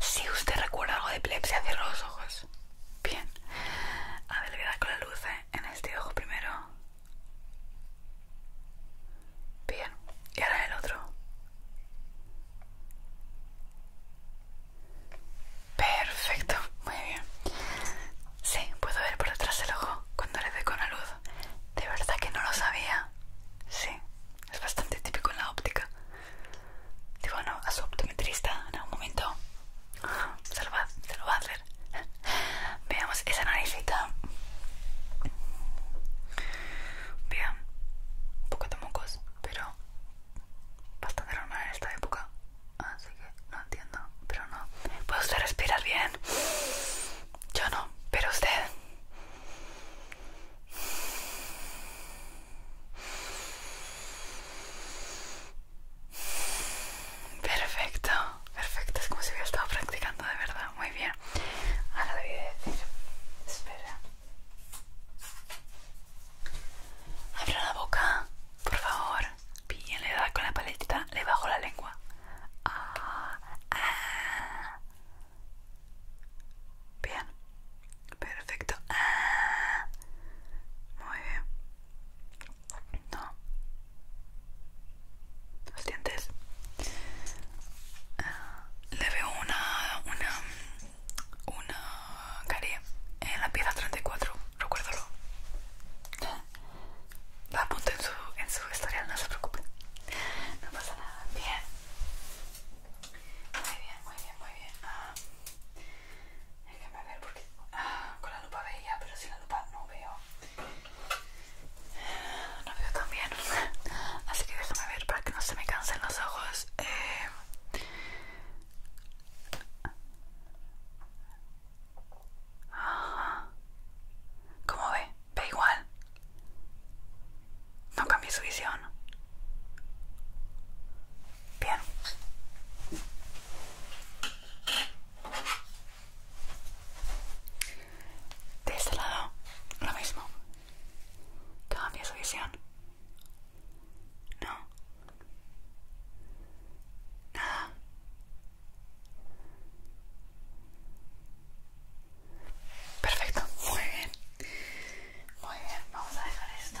Si usted recuerda algo de epilepsia, cierro los ojos. Bien. A ver, le voy a dar con la luz ¿eh? en este ojo primero. Bien. Y ahora el otro. Perfecto, muy bien. Sí, puedo ver por detrás el ojo cuando le doy con la luz. De verdad que no lo sabía. Sí, es bastante típico en la óptica. Digo, no, a su optometrista en algún momento. Se lo va, lo va a hacer. Veamos esa naricita. Bien, un poco de mocos pero bastante normal en esta época, así que no entiendo, pero no. ¿Puede usted respirar bien, yo no, pero usted. Perfecto, perfecto, es como si hubiera estado practicando de verdad, muy bien. Ahora a decir, espera. Abre la boca, por favor. Bien, le da con la paletita, le bajo la lengua. Ah, ah. Bien, perfecto. Ah. Muy bien. No. Los dientes. Le veo una, una una carie en la pieza 34, recuérdalo. La apunto en su, en su historial, no se preocupe. No pasa nada. Bien. Muy bien, muy bien, muy bien. Ah, déjame ver porque ah, con la lupa veía, pero sin la lupa no veo. No veo tan bien. Así que déjame ver para que no se me cansen los ojos. Eh, ¿Cómo ve? Ve igual. No cambie su visión. Bien. De este lado, lo mismo. Cambia su visión. No. Nada. Perfecto. Muy bien. Muy bien. Vamos a dejar esto.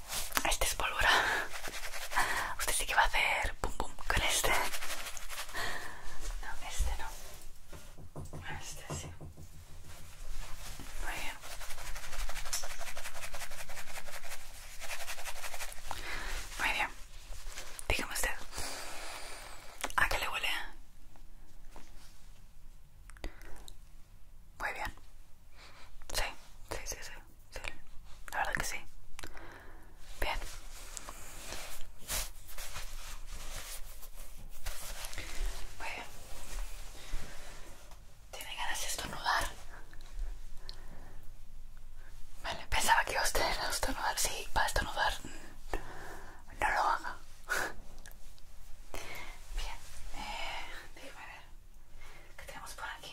Este es pólvora. Usted sí que va a hacer pum pum con este. No, este no. Este sí. Muy bien. Muy bien. Dígame usted. ¿A qué le huele? Muy bien. Sí, sí, sí, sí sí, la verdad que sí. Bien. Muy bien. ¿Tiene ganas de estornudar? Vale, pensaba que iba a estar estornudar. Sí, va a estornudar. No lo haga. Bien, eh, a ver. ¿Qué tenemos por aquí?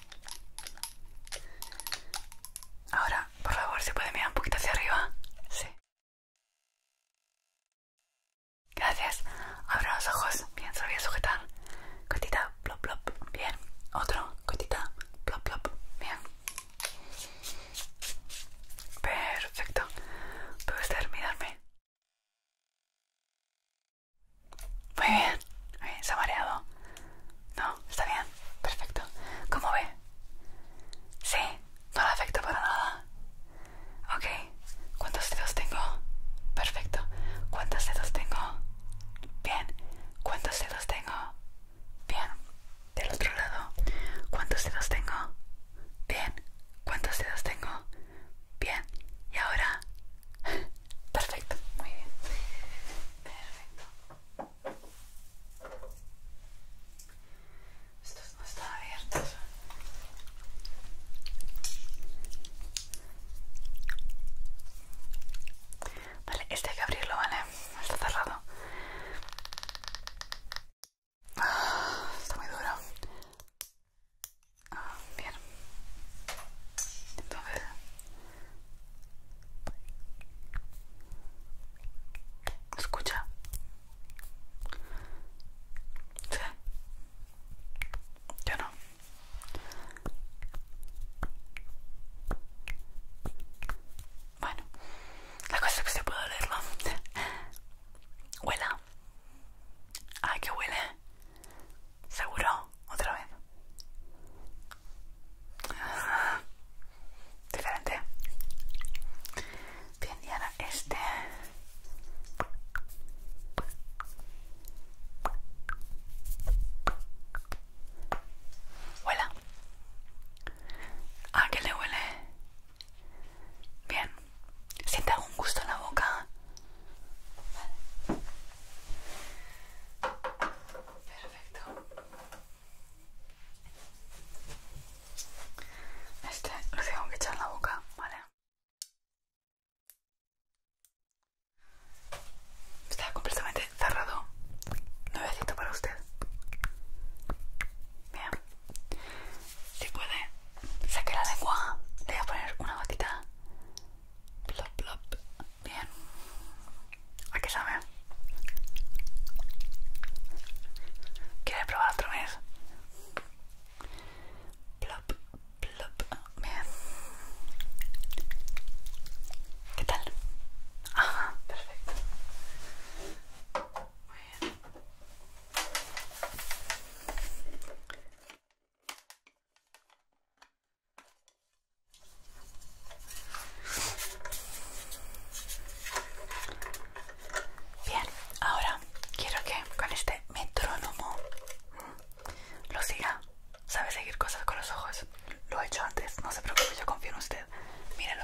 Ahora, por favor, si puede mirar un poquito hacia arriba. Sí. Gracias. Abra los ojos. Bien, sabía sujetar. Cotita, plop, plop. Bien. Otro, cotita, plop, plop. Bien. Perfecto. ¿Puede usted mirarme? Muy bien, muy se ha mareado. No, está bien, perfecto. ¿Cómo ve? Sí, no afecto para nada. Ok, ¿cuántos dedos tengo? Perfecto. ¿Cuántos dedos tengo? Bien. ¿Cuántos dedos tengo? Bien. Del otro lado. ¿Cuántos dedos tengo? Bien. ¿Cuántos dedos tengo? Bien. ¿Y ahora? Perfecto, muy bien. Perfecto. Estos no están abiertos. Vale, este hay que abrirlo, ¿vale? Está cerrado. Ah, está muy duro. Ah, bien. Entonces, Escucha. Sí. Yo no. Bueno, la cosa es que se puede olerlo. Huela. Ay, que huele. ¿Seguro? ¿Otra vez? Diferente. Bien, y ahora este. Huela. ¿A ah, qué le huele? Bien. ¿Siente algún gusto en la boca? Perfecto. Este lo tengo que echar en la boca, ¿vale? Está completamente cerrado. Nuevecito para usted. Bien. Si puede, saque la lengua. Le voy a poner una gotita Plop, plop. Bien. ¿A qué sabe? ¿Quieres probar otra vez? Plop, plop. Bien. ¿Qué tal? Ajá, perfecto. Muy Bien, ahora quiero que con este metrónomo lo siga. Sabe seguir cosas con los ojos. Lo he hecho antes, no se preocupe, yo confío en usted. Mírelo.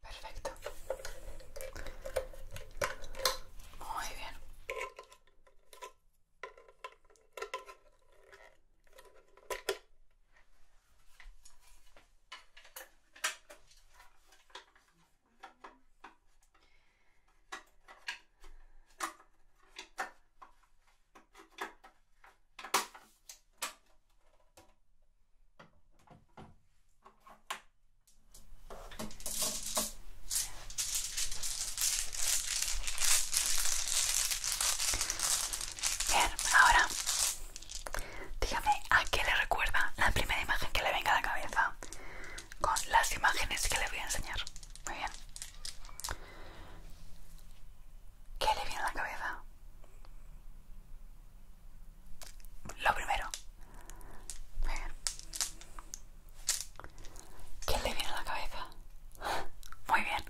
Perfecto. Muy bien. Bien, ahora dígame a qué le recuerda la primera imagen que le venga a la cabeza con las imágenes que le voy a enseñar. Muy bien. ¿Qué le viene a la cabeza? Lo primero, ¿qué le viene a la cabeza? Muy bien.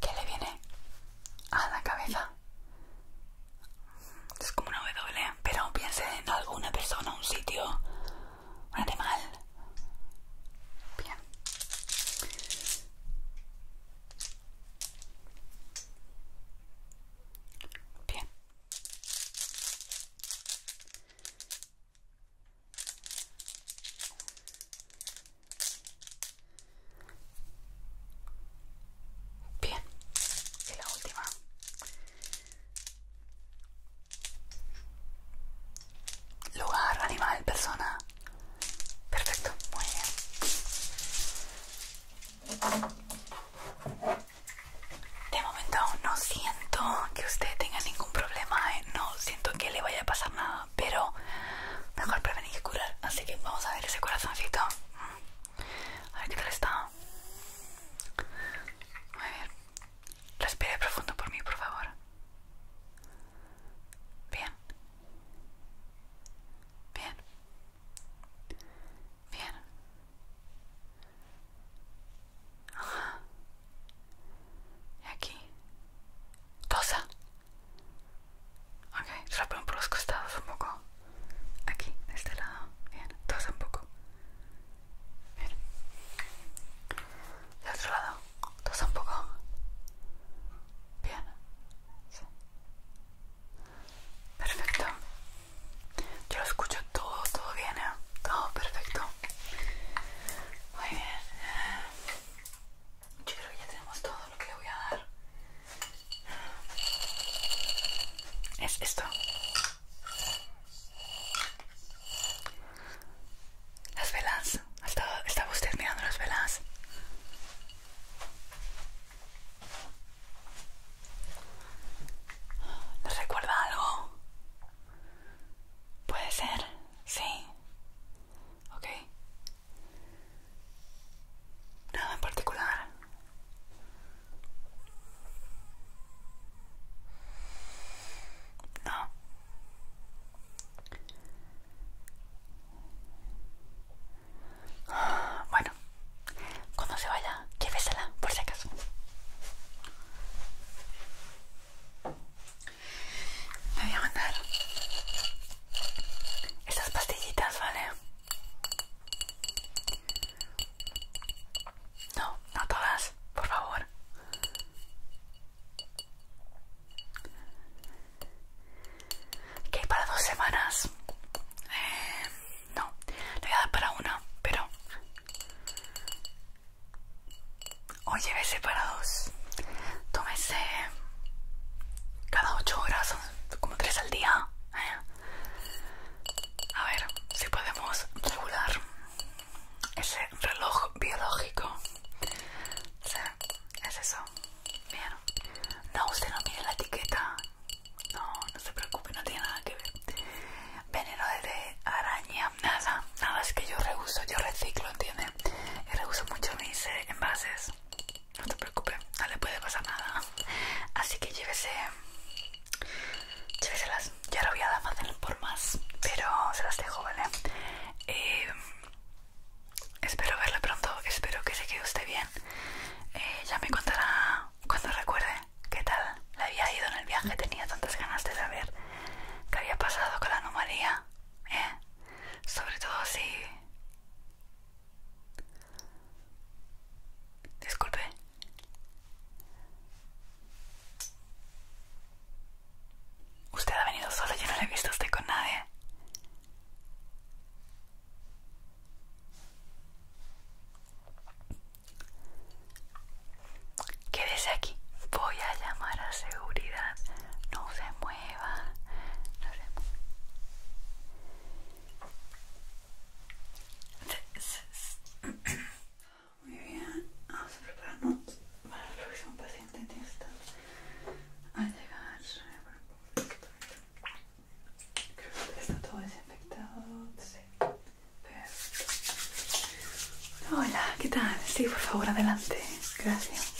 ¿Qué le viene a la cabeza? Es como una W, pero piense en alguna persona, un sitio, un animal. Bien. Bien. Bien. Y la última. Lugar, animal, persona. Perfecto, muy bien. De momento no siento que usted tenga ningún problema, ¿eh? no siento que le vaya a pasar nada, pero mejor prevenir que curar. Así que vamos a ver ese corazoncito. A ver qué tal está. Muy bien. Respire profundo por mí, por favor. Bien. Bien. Bien. Y aquí. Tosa. Ok, ponen por los costados un poco. Aquí, de este lado. Bien, tosa un poco. Bien. De otro lado está un poco? Bien. Perfecto. Yo lo escucho todo, todo bien, ¿eh? Todo perfecto. Muy bien. Yo creo que ya tenemos todo lo que le voy a dar. Es esto. Las velas. ¿Estaba, usted mirando las velas? ¿Les recuerda algo? ¿Puede ser? Sí. Ok. Nada en particular. No. Bueno, cuando se vaya, llévesela, por si acaso. Me voy a mandar estas pastillitas, ¿vale? No, no todas, por favor que para dos semanas eh, no le voy a dar para una pero o llévese para dos tómese cada ocho horas como tres al día ¿eh? a ver si podemos regular ese reloj biológico o sea, es eso. Bien. No, usted no mire la etiqueta. No, no se preocupe, no tiene nada que ver. Veneno de araña, nada. Nada, es que yo reuso, yo reciclo, ¿entiende? Y reuso mucho mis eh, envases. No se preocupe, no le puede pasar nada. Así que llévese. Lléveselas. Ya ahora voy a dar más por más. Pero se las dejo, ¿vale? Eh, Espero verla pronto, espero que se quede usted bien. Eh, ya me contará cuando recuerde qué tal le había ido en el viaje. Tenía tantas ganas de saber qué había pasado con la anomalía. ¿eh? Sobre todo si... Disculpe. Usted ha venido solo, yo no le he visto a usted con nadie. Quédese aquí. Voy a llamar a seguridad. No se mueva. No se mueva. Muy bien. Vamos a prepararnos para el próximo paciente en esta a llegar. Está todo desinfectado. Hola, ¿qué tal? Sí, por favor, adelante. Gracias.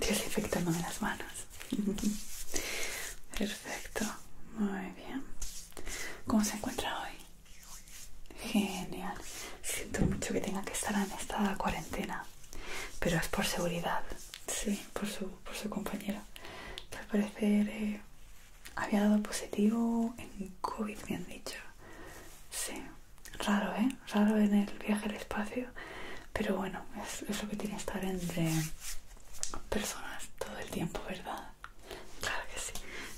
infectan las manos. Perfecto. Muy bien. ¿Cómo se encuentra hoy? Genial. Siento mucho que tenga que estar en esta cuarentena, pero es por seguridad. Sí, por su, por su compañero. Al parecer eh, había dado positivo en COVID, me han dicho. Sí, raro, ¿eh? Raro en el viaje al espacio, pero bueno, es, es lo que tiene estar entre personas todo el tiempo, ¿verdad? Claro que sí.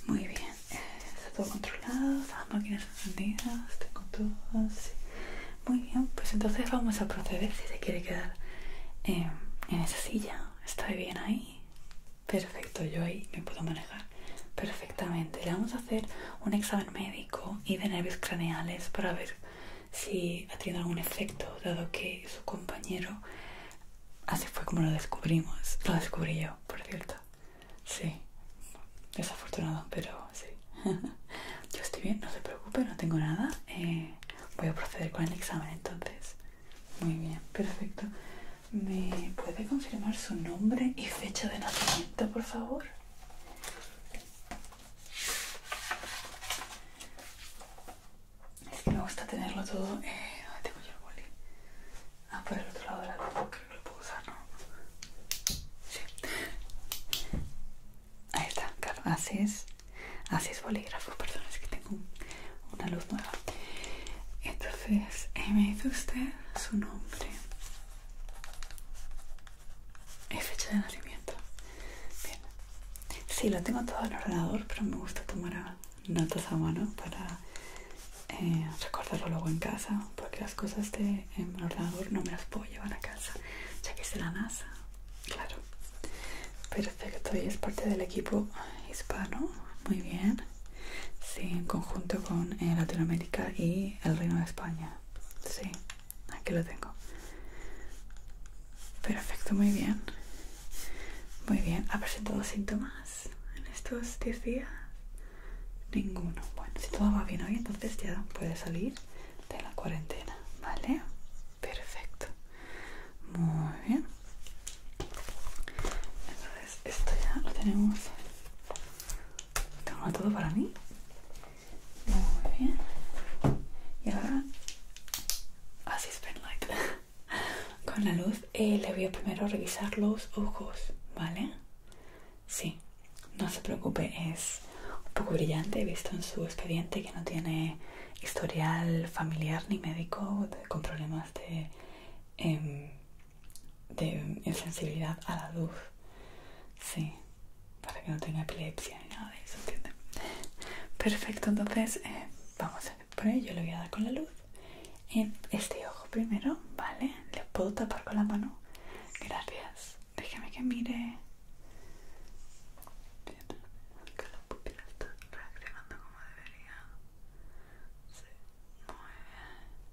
Muy bien está todo controlado, todas las máquinas encendidas, tengo todo así Muy bien, pues entonces vamos a proceder si se quiere quedar en esa silla. Está bien ahí. Perfecto, yo ahí me puedo manejar perfectamente. Le vamos a hacer un examen médico y de nervios craneales para ver si ha tenido algún efecto, dado que su compañero, así fue como lo descubrimos, lo descubrí yo, por cierto. Sí, desafortunado, pero sí. Yo estoy bien, no se preocupe, no tengo nada. Eh, voy a proceder con el examen entonces. Muy bien, perfecto. ¿Me puede confirmar su nombre y fecha de nacimiento, por favor? Es que me gusta tenerlo todo. Eh, ¿Dónde tengo yo el boli? Ah, por el otro lado de la luz creo que lo puedo usar, ¿no? Sí. Ahí está, claro, así es. Así es bolígrafo, perdón, es que tengo una luz nueva. Entonces, eh, me dice usted su nombre. Es fecha de nacimiento. Bien. Sí, lo tengo todo en el ordenador, pero me gusta tomar notas a mano para eh, recordarlo luego en casa porque las cosas de en ordenador no me las puedo llevar a casa ya que es la NASA claro perfecto y es parte del equipo hispano muy bien sí en conjunto con eh, Latinoamérica y el Reino de España sí aquí lo tengo perfecto muy bien muy bien ha presentado síntomas en estos 10 días Ninguno. Bueno, si todo va bien hoy, entonces ya puede salir de la cuarentena, ¿vale? Perfecto. Muy bien. Entonces, esto ya lo tenemos. Tengo todo para mí. Muy bien. Y ahora, así es light. Con la luz eh, le voy a primero revisar los ojos, ¿vale? Sí, no se preocupe, es un poco brillante. He visto en su expediente que no tiene historial familiar ni médico con problemas de, em, de insensibilidad a la luz. Sí, para que no tenga epilepsia ni nada de eso, ¿entiende? Perfecto, entonces eh, vamos a poner, yo le voy a dar con la luz en este ojo primero, ¿vale? Le puedo tapar con la mano Gracias. Déjame que mire. está como debería.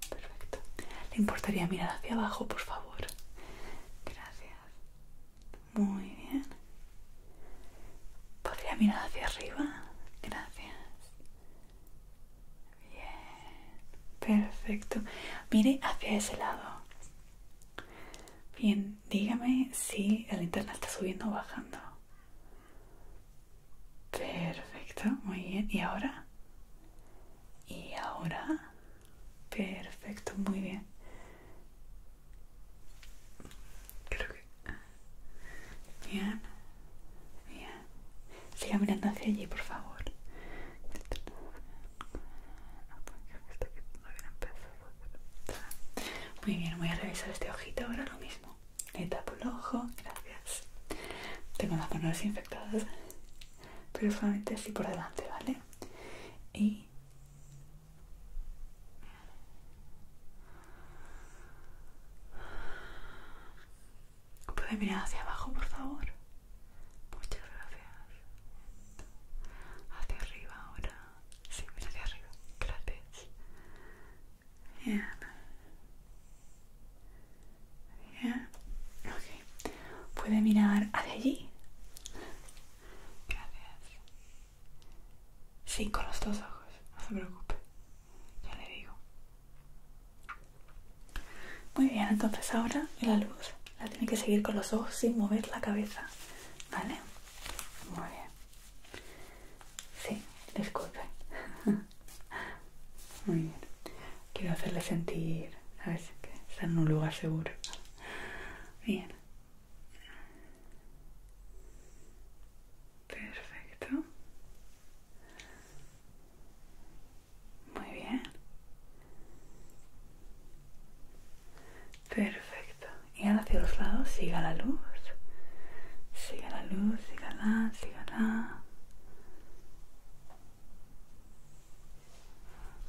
Perfecto. ¿Le importaría mirar hacia abajo, por favor? Gracias. Muy bien. ¿Podría mirar hacia arriba? Gracias. Bien, perfecto. Mire hacia ese lado. Bien, dígame si la linterna está subiendo o bajando. Perfecto, muy bien. ¿Y ahora? ¿Y ahora? Perfecto, muy bien. Creo que... Bien, bien. Siga mirando hacia allí, por favor. Muy bien, voy a revisar este ojito ahora lo mismo. Le tapo el ojo, gracias. Tengo las manos infectadas pero solamente así por delante, ¿vale? Y. ¿Puede mirar hacia abajo, por favor? Muchas gracias. Hacia arriba ahora. Sí, mira hacia arriba. Gracias. Bien. Bien. Ok. ¿Puede mirar hacia allí? Gracias. Sí, con los dos ojos. No se preocupe. Ya le digo. Muy bien, entonces ahora la luz la tiene que seguir con los ojos sin mover la cabeza, ¿vale? Muy bien. Sí, disculpen. Muy bien. Quiero hacerle sentir, ¿sabes? Que está en un lugar seguro. Bien. Perfecto. Muy bien. Perfecto. Y ahora hacia los lados, siga la luz. Siga la luz, siga sígala.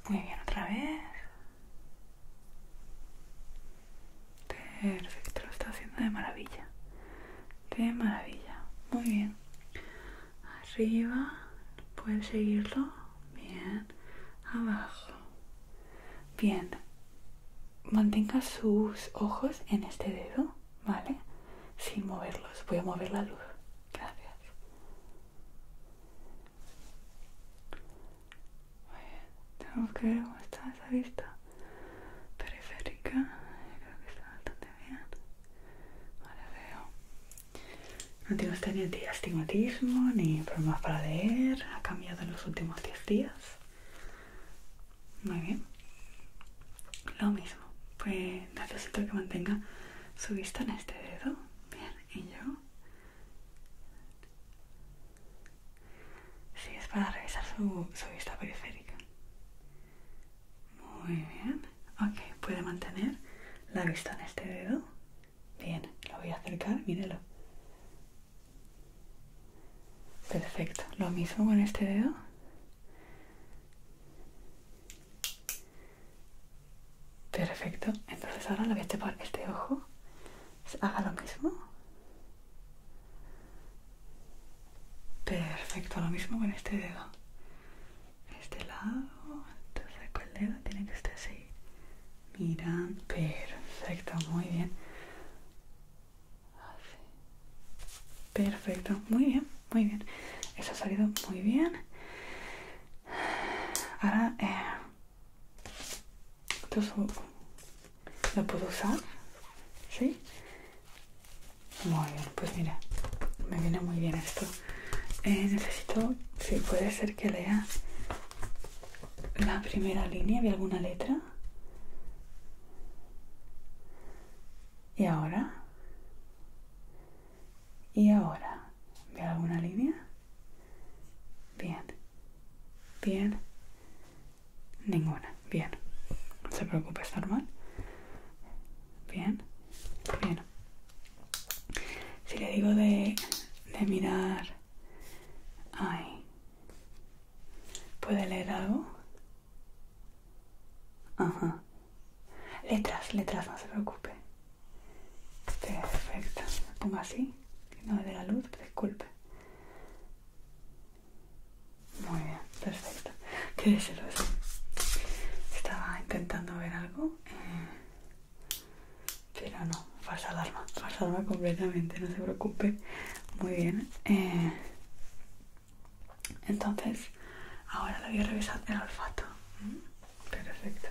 Muy bien, otra vez. Perfecto, lo está haciendo de maravilla. De maravilla. Muy bien arriba, ¿puedes seguirlo, bien, abajo, bien, mantenga sus ojos en este dedo, ¿vale? Sin moverlos, voy a mover la luz, gracias. Muy bien, tenemos que ver cómo está esa vista periférica, creo que está bastante bien, vale, veo no tiene usted ni astigmatismo ni problemas para leer. Ha cambiado en los últimos 10 días. Muy bien. Lo mismo. Pues necesito que mantenga su vista en este dedo. Bien, y yo. Sí, es para revisar su, su vista periférica. Muy bien. Ok, puede mantener la vista en este dedo. Bien, lo voy a acercar, mírelo. Perfecto. Lo mismo con este dedo. Perfecto. Entonces ahora le voy a este ojo. Haga lo mismo. Perfecto, lo mismo con este dedo este lado, entonces este saco el dedo, tiene que estar así. Mira, perfecto, muy bien. Perfecto, muy bien, muy bien. Eso ha salido muy bien. Ahora, eh, ¿lo puedo usar? ¿Sí? Muy bien, pues mira, me viene muy bien esto. Eh, necesito, si puede ser que lea la primera línea y alguna letra. ¿Y ahora? ¿Y ahora? ¿Ve alguna línea? Bien. Bien. Ninguna. Bien. No se preocupe, está normal. Bien. Bien. Si le digo de, de mirar... ahí... ¿Puede leer algo? Ajá. Letras, letras, no se preocupe. Perfecto. Lo pongo así, no me dé la luz, disculpe. Muy bien, perfecto. Quédese Estaba intentando ver algo. Eh, pero no, falsa alarma, falsa alarma completamente, no se preocupe. Muy bien. Eh, entonces, ahora le voy a revisar el olfato. Mm, perfecto.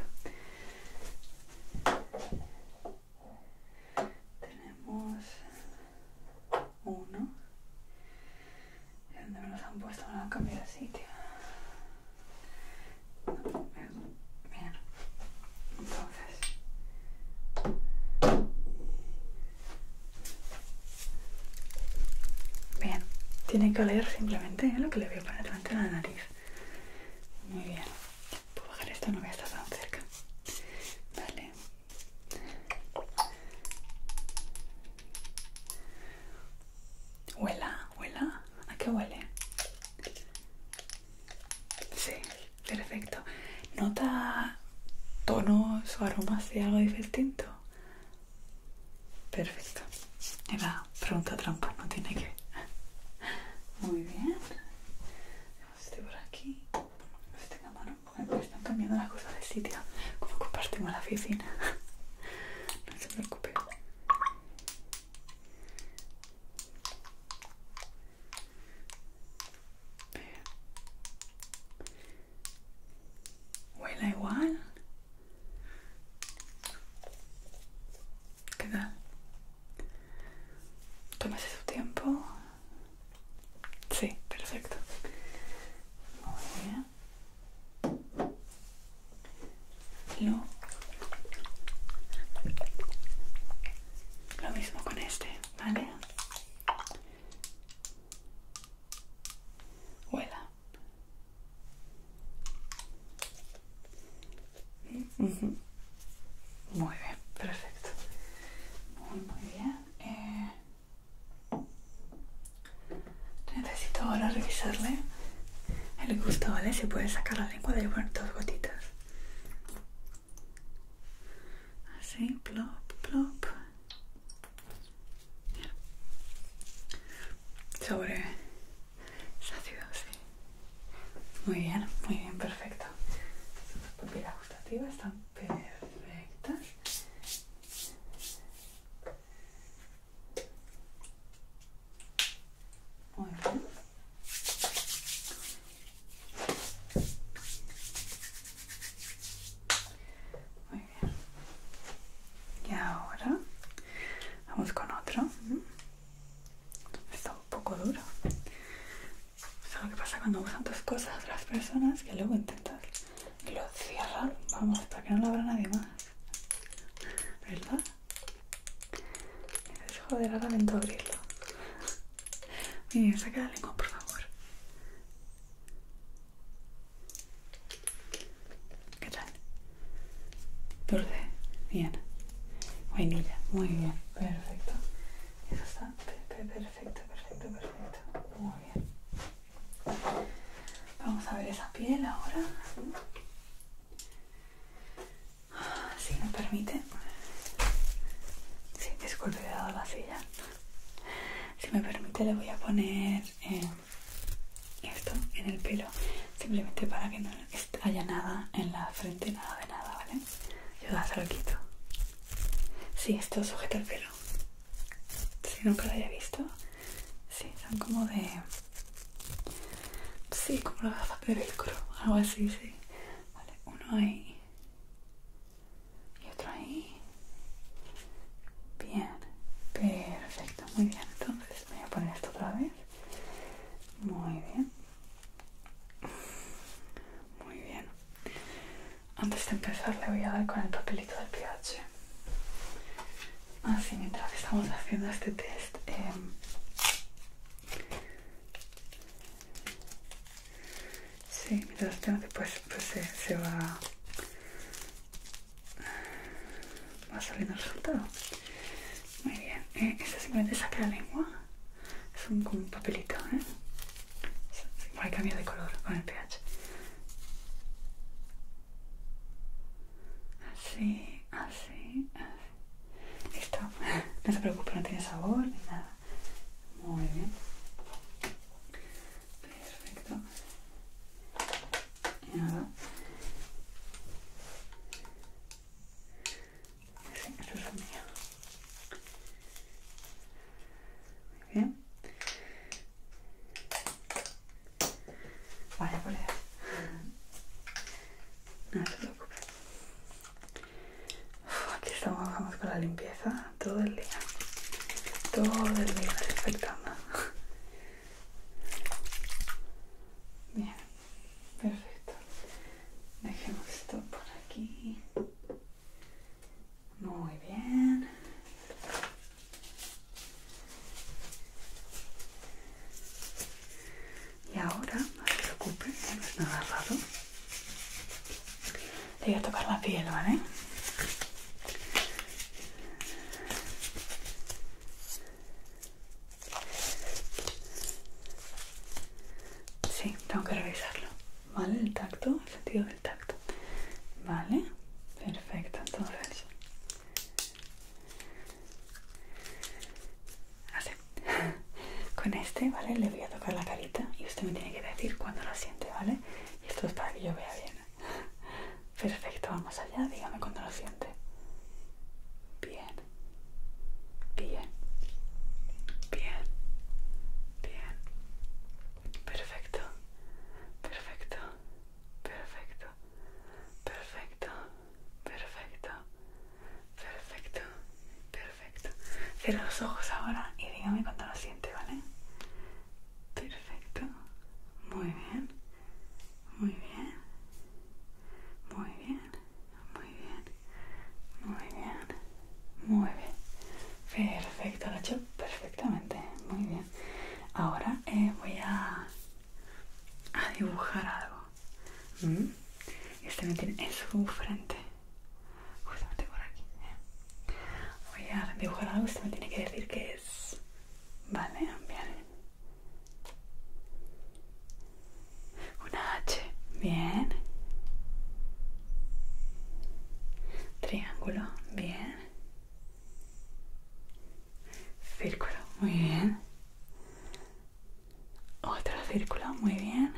Tenemos uno, ¿Dónde me los han puesto? Me lo han cambiado de sitio. Bien. Entonces. Bien. Tiene que oler simplemente ¿eh? lo que le veo a poner delante de la nariz. Muy bien. Puedo bajar esto, no voy a estar tan cerca. Vale. Huela, huela. ¿A qué huele? Sí, perfecto. ¿Nota tonos o aromas de algo distinto? Perfecto. Era pregunta trampa, no tiene que. Muy bien. estoy por aquí. Este mano, porque están cambiando las cosas de sitio. Como compartimos la oficina. No se preocupe. Huela igual. ¿Qué tal? Tómese su tiempo. Sí, perfecto. bien. Lo, lo mismo con este, ¿vale? Huela. Muy bien, perfecto. Muy, muy bien. Eh, Necesito ahora revisarle el gusto, ¿vale? Si puedes sacar la lengua de poner dos gotitas. Así, plop, plop. Sobre sácido, sí. Muy bien, muy bien, perfecto. Las papilas gustativas están perfectas. Muy bien. Muy bien. Y ahora vamos con otro. Está un poco duro. Es lo que pasa cuando usan tus cosas las personas que luego intentas lo cierran, vamos, para que no lo abra nadie más. ¿Verdad? Es joder, ahora lento abrirlo. Miren, saca la lengua, por favor. ¿Qué tal? Dulce, bien. Buenilla, muy bien, perfecto. Eso está, perfecto, perfecto, perfecto. Muy bien. Vamos a ver esa piel ahora. Ah, si me permite. Sí, disculpe, he dado la silla. Si me permite, le voy a poner eh, esto en el pelo. Simplemente para que no haya nada en la frente, nada de nada, ¿vale? Yo se lo quito. si esto sujeta el pelo. Si nunca lo haya visto, Sí, son como de... Sí, como las gafas de velcro, algo así, sí. Vale, uno ahí. Y otro ahí. Bien, perfecto, muy bien. Entonces voy a poner esto otra vez. Muy bien. Muy bien. Antes de empezar le voy a dar con el papelito del pH. Así ah, mientras estamos haciendo este test, eh, sí, mientras tengo que pues, pues se, va, va saliendo el resultado. Muy bien, eh, este simplemente saca la lengua, es un, como un papelito, ¿eh? Hay cambio de color con el pH. Así. Ah, así, así. Listo. No se preocupe, no tiene sabor ni nada. Muy bien. Perfecto. Y ahora. Sí, eso es mío. Muy bien. Vale, ahí. No te preocupes. aquí estamos vamos con la limpieza todo el día. Todo el día respetando. Bien, perfecto. Dejemos esto por aquí. Muy bien. Y ahora, no se preocupe, no es nada agarrado, Le voy a tocar la piel, ¿vale? Sí, tengo que revisarlo. ¿Vale? El tacto, el sentido del tacto. ¿Vale? Perfecto, entonces Así. Con este, ¿vale? Le voy a tocar la carita y usted me tiene que decir cuándo lo siente, ¿vale? Y esto es para que yo vea bien. Perfecto, vamos allá. Dígame cuándo lo siente. Bien. Bien. Bien. Bien. Perfecto. Perfecto. Perfecto. Perfecto perfecto, perfecto, perfecto. Cierra los ojos ahora y dígame cuando lo siente, ¿vale? Perfecto, muy bien, muy bien, muy bien, muy bien, muy bien, muy bien. Perfecto, lo hecho perfectamente, muy bien. Ahora eh, voy a, a dibujar algo. Mm. Este me tiene en su frente, justamente por aquí. Eh. Voy a dibujar algo, usted me tiene que decir que es. Vale, bien. Una H, bien. Triángulo, bien. Círculo, muy bien. Otro círculo, muy bien.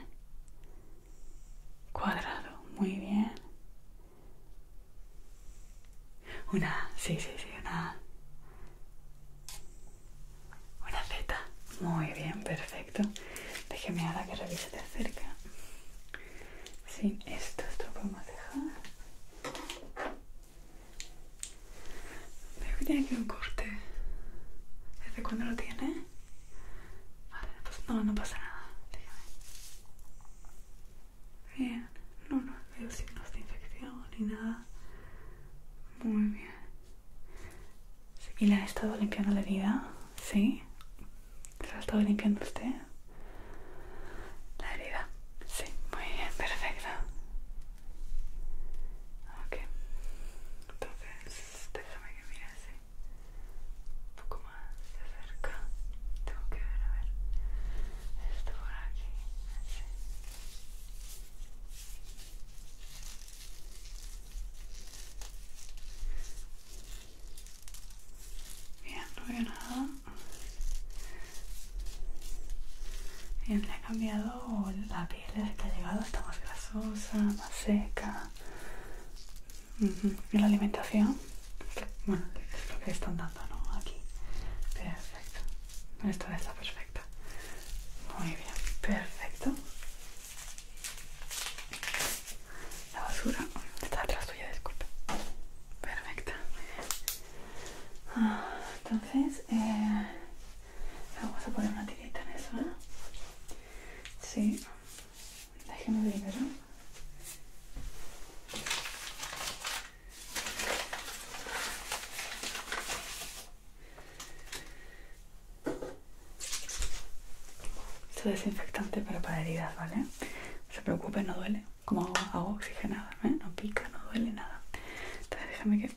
Cuadrado, muy bien. Una, sí, sí, sí, una. Una Z. Muy bien, perfecto. Déjeme ahora que revise de cerca. Sí, esto, esto lo podemos dejar. Veo que tiene aquí un corte. ¿Desde cuándo lo tiene? Vale, no pues no, no pasa nada. Bien. No, no veo signos de infección ni nada. Muy bien. ¿Y le ha estado limpiando la herida? ¿Sí? ¿Se ha estado limpiando usted? La herida. Sí, muy bien, perfecto. Ok, entonces déjame que mire así un poco más de cerca. Tengo que ver, a ver, esto por aquí. Así. Bien, no veo nada. Bien, le ha cambiado la piel desde que ha llegado, está más grasosa, más seca. ¿Y la alimentación? Bueno, es lo que están dando, ¿no? Aquí. Perfecto. Esta está perfecta. Muy bien, perfecto. La basura está atrás tuya, disculpe. Perfecta, ah, entonces, eh, Vamos a poner una tirita en eso, ¿eh? Sí. Déjeme ver ¿eh? Esto es desinfectante para heridas, ¿vale? No se preocupe, no duele. Como hago, oxigenado, ¿eh? No pica, no duele nada. Entonces déjame que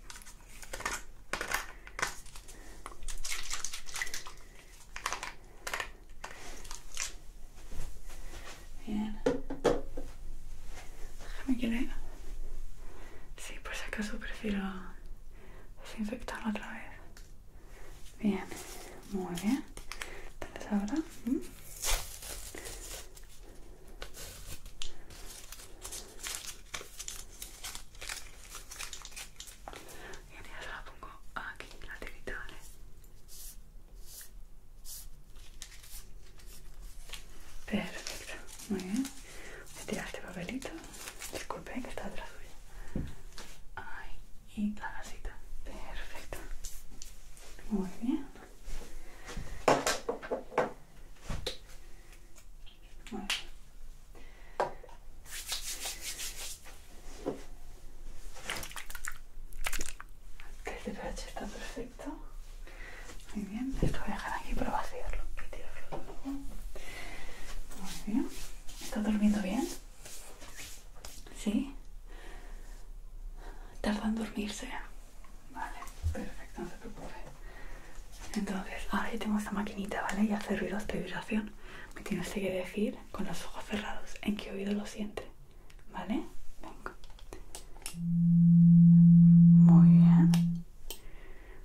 Bien. Déjame que le... Sí, por si acaso prefiero desinfectarlo otra vez. Bien, muy bien. Entonces ahora y ahora la pongo aquí tirita, ¿vale? perfecto muy bien voy a tirar este papelito disculpe que está detrás suya ahí y la vasita perfecto muy bien este El TPH está perfecto. Muy bien, esto voy a dejar aquí para vaciarlo Muy bien. ¿está durmiendo bien? ¿Sí? Tarda en dormirse. Vale, perfecto, no se preocupe. Entonces, ahora yo tengo esta maquinita, ¿vale? Y hace ruidos de vibración. Me tienes que decir con los ojos cerrados en qué oído lo siente, ¿vale? Venga. Muy bien.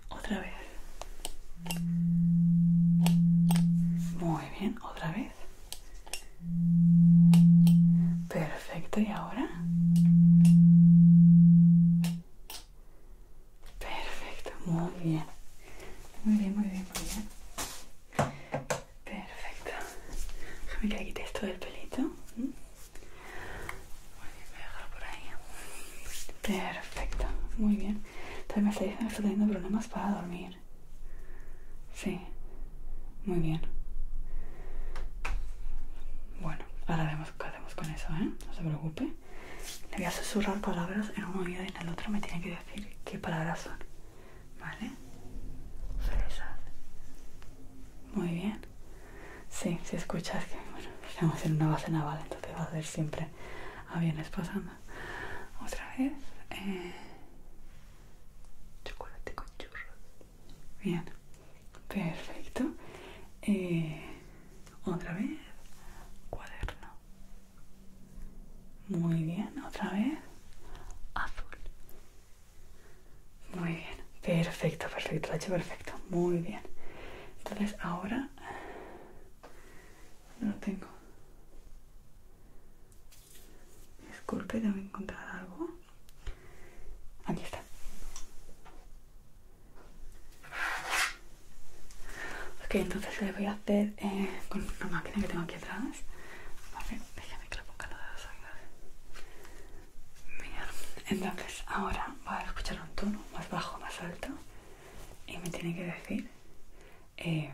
Otra vez. Muy bien, otra vez. Perfecto, ¿y ahora? Perfecto, muy bien. Muy bien, muy bien, muy bien. Perfecto. Déjame que quite esto del pelito. ¿Mm? Muy bien, voy a dejarlo por ahí. Perfecto, muy bien. También me está diciendo que teniendo problemas para dormir. Sí, muy bien. Bueno, ahora vemos con eso, ¿eh? No se preocupe. Le voy a susurrar palabras en un oído y en el otro me tiene que decir qué palabras son. ¿Vale? Fresas. Muy bien. Sí, si escuchas que, bueno, estamos en una base naval, entonces va a ser siempre aviones pasando. Otra vez. Eh, chocolate con churros. Bien. Perfecto. Eh, otra vez. Cuaderno. Muy bien. Otra vez. Azul. Muy bien. Perfecto, perfecto. Lo hecho perfecto. Muy bien. Entonces ahora... No lo tengo. Disculpe, tengo que encontrar algo. Aquí está. Ok, entonces le voy a hacer eh, con una máquina que tengo aquí atrás. Vale, déjame que la ponga no entonces ahora va a escuchar un tono más bajo, más alto. Y me tiene que decir que eh,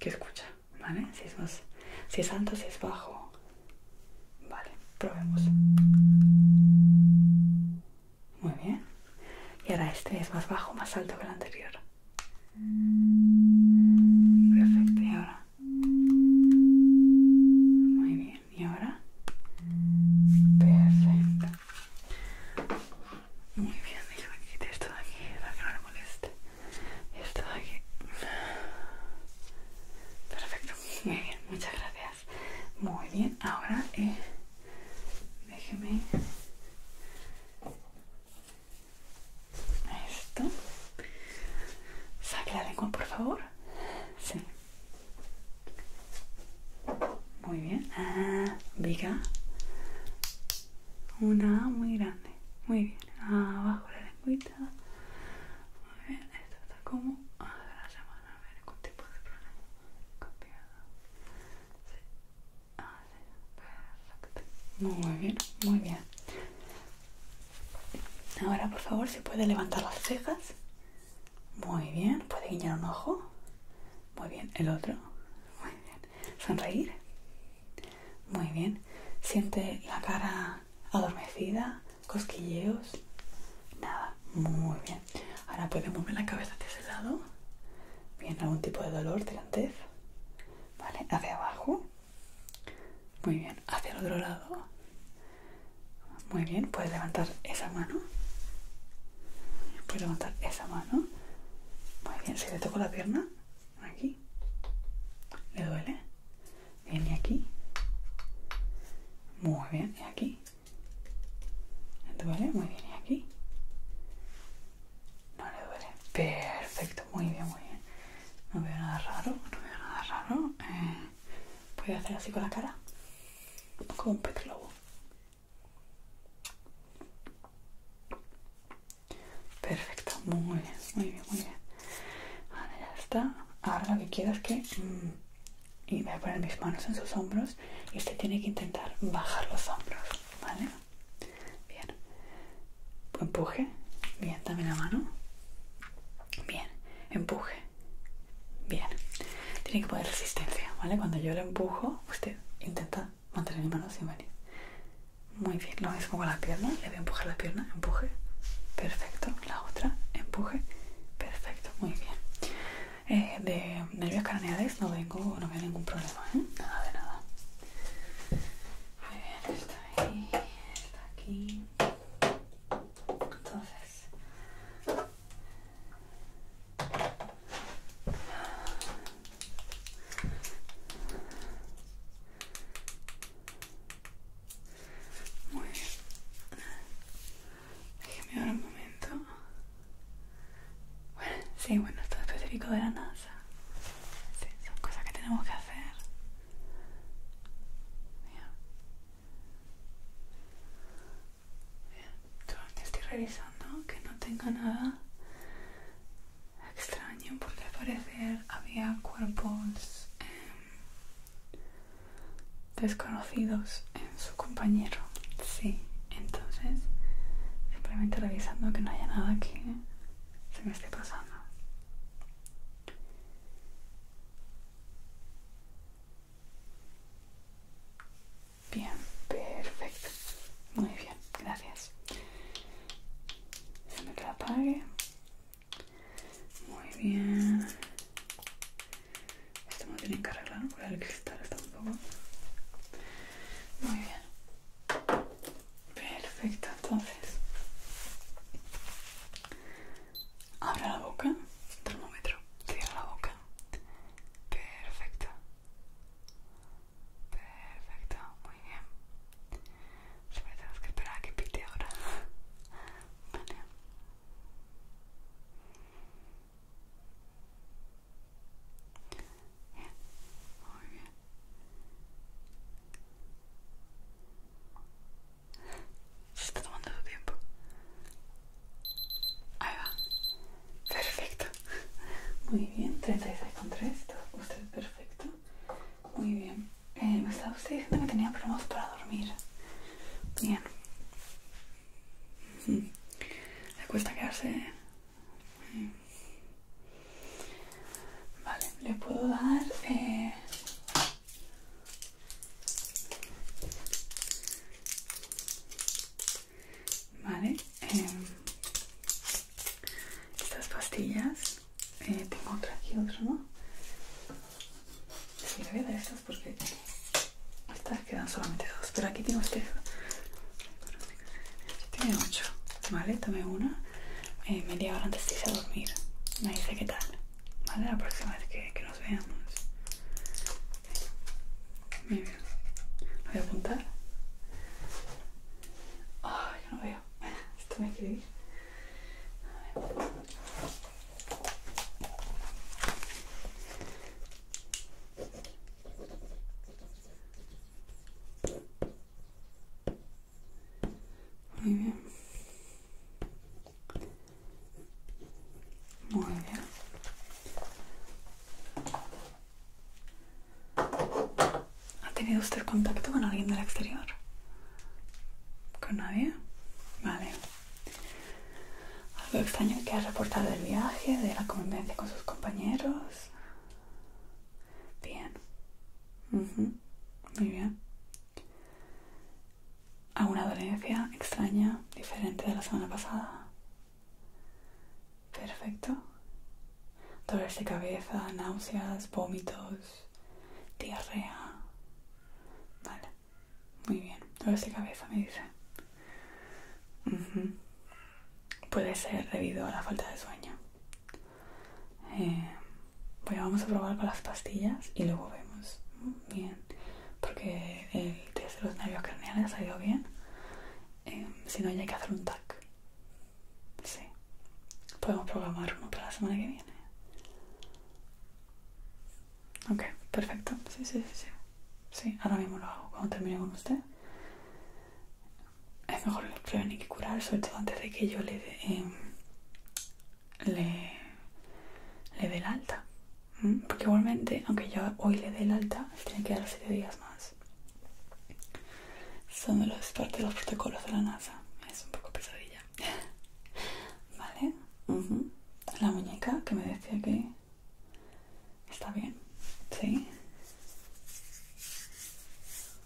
qué escucha, ¿vale? Si es, si es alto, si es bajo. Vale, probemos. Muy bien. Y ahora este es más bajo, más alto que el anterior. Perfecto. Y ahora. Muy bien. Y ahora. Perfecto. Muy bien. Déjame que esto de aquí para que no le moleste. Esto de aquí. Perfecto. Muy bien. Muchas gracias. Muy bien, ahora eh, déjeme esto. Saque la lengua, por favor. Sí. Muy bien. viga. Ah, Una muy grande. Muy bien. Abajo la lengüita. Muy bien. Esto está como. Ah, a semana a ver, con tipo de problema. Ah, muy bien, muy bien. Ahora, por favor, si puede levantar las cejas. Muy bien. Puede guiñar un ojo. Muy bien. El otro. Muy bien. Sonreír. Muy bien. Siente la cara adormecida, cosquilleos, nada, muy bien. Ahora puedes mover la cabeza hacia ese lado. Bien, algún tipo de dolor, tirantez. Vale, hacia abajo. Muy bien, hacia el otro lado. Muy bien, puedes levantar esa mano. Puedes levantar esa mano. Muy bien, si le toco la pierna, aquí. ¿Le duele? Bien, y aquí. Muy bien, y aquí. ¿No duele? Muy bien, ¿y aquí? No le duele. Perfecto, muy bien, muy bien. No veo nada raro, no veo nada raro. voy eh, a hacer así con la cara, como un pet Perfecto, muy bien, muy bien, muy bien. Vale, ya está. Ahora lo que quiero es que... Mm, y voy a poner mis manos en sus hombros y usted tiene que intentar bajar los hombros, ¿vale? Bien, empuje, bien, también la mano, bien, empuje, bien, tiene que poner resistencia, ¿vale? Cuando yo le empujo, usted intenta mantener la mano sin venir. Muy bien, lo mismo con la pierna, le voy a empujar la pierna, empuje, perfecto, la otra, empuje, perfecto, muy bien eh, de nervios craneales no vengo, no veo ningún problema, ¿eh? nada de nada. Muy bien, está ahí, está aquí. Entonces, muy bien. Déjenme ahora un momento. Bueno, sí, bueno, esto es específico de la NASA. Sí, son cosas que tenemos que hacer. yo estoy revisando que no tenga nada extraño porque al había cuerpos desconocidos en su compañero. Sí, entonces simplemente revisando que no haya nada que se me esté pasando. Bien, perfecto. Muy bien, gracias. Se me que apague. Muy bien. Esto me lo tiene que arreglar porque el cristal hasta un poco... Muy bien. Perfecto, entonces. Abre la boca. Termómetro. Cierra la boca. Perfecto. Perfecto, muy bien. Solo tenemos que esperar a que pite ahora. Vale. Se está tomando su tiempo. Ahí va. Perfecto. Muy bien, 36,3. Usted perfecto. Muy bien. Eh, me estaba usted diciendo que tenía problemas para dormir. Bien. Mm. Le cuesta quedarse. Eh. Vale, le puedo dar. Eh, vale, em, estas pastillas. Eh, tengo otra aquí, otra, ¿no? Sí, le voy a dar esto porque estas quedan solamente dos. Pero aquí tengo usted. Este tiene ocho, ¿vale? Tome una. Me eh, media ahora antes de irse a dormir. Me dice que tal. ¿Vale? La próxima vez que, nos veamos. Me voy a apuntar. Oh, yo no veo. Esto me escribí. Muy bien. Muy bien. ¿Ha tenido usted contacto con alguien del exterior? ¿Con nadie? Vale. Algo extraño que ha reportado del viaje, de la convivencia con sus compañeros. Bien. Muy bien. ¿Alguna dolencia extraña, diferente de la semana pasada? Perfecto. Dolores de cabeza, náuseas, vómitos, diarrea. Vale. Muy bien, dolores de cabeza me dice. Puede ser debido a la falta de sueño. Eh, bueno, vamos a probar con las pastillas y luego vemos. Bien, porque el test de los nervios craneales ha ido bien. Eh, si no, ya hay que hacer un TAC. Sí. Podemos programar uno para la semana que viene. Ok, perfecto. Sí, sí, sí, sí. Sí, ahora mismo lo hago cuando termine con usted. Es mejor prevenir que curar, sobre todo antes de que yo le dé em, le, le dé el alta. Mm, porque igualmente, aunque yo hoy le dé el alta, tiene que dar siete días más. Son de los, parte de los protocolos de la NASA. Es un poco pesadilla. ¿Vale? La muñeca que me decía que Está bien, ¿sí?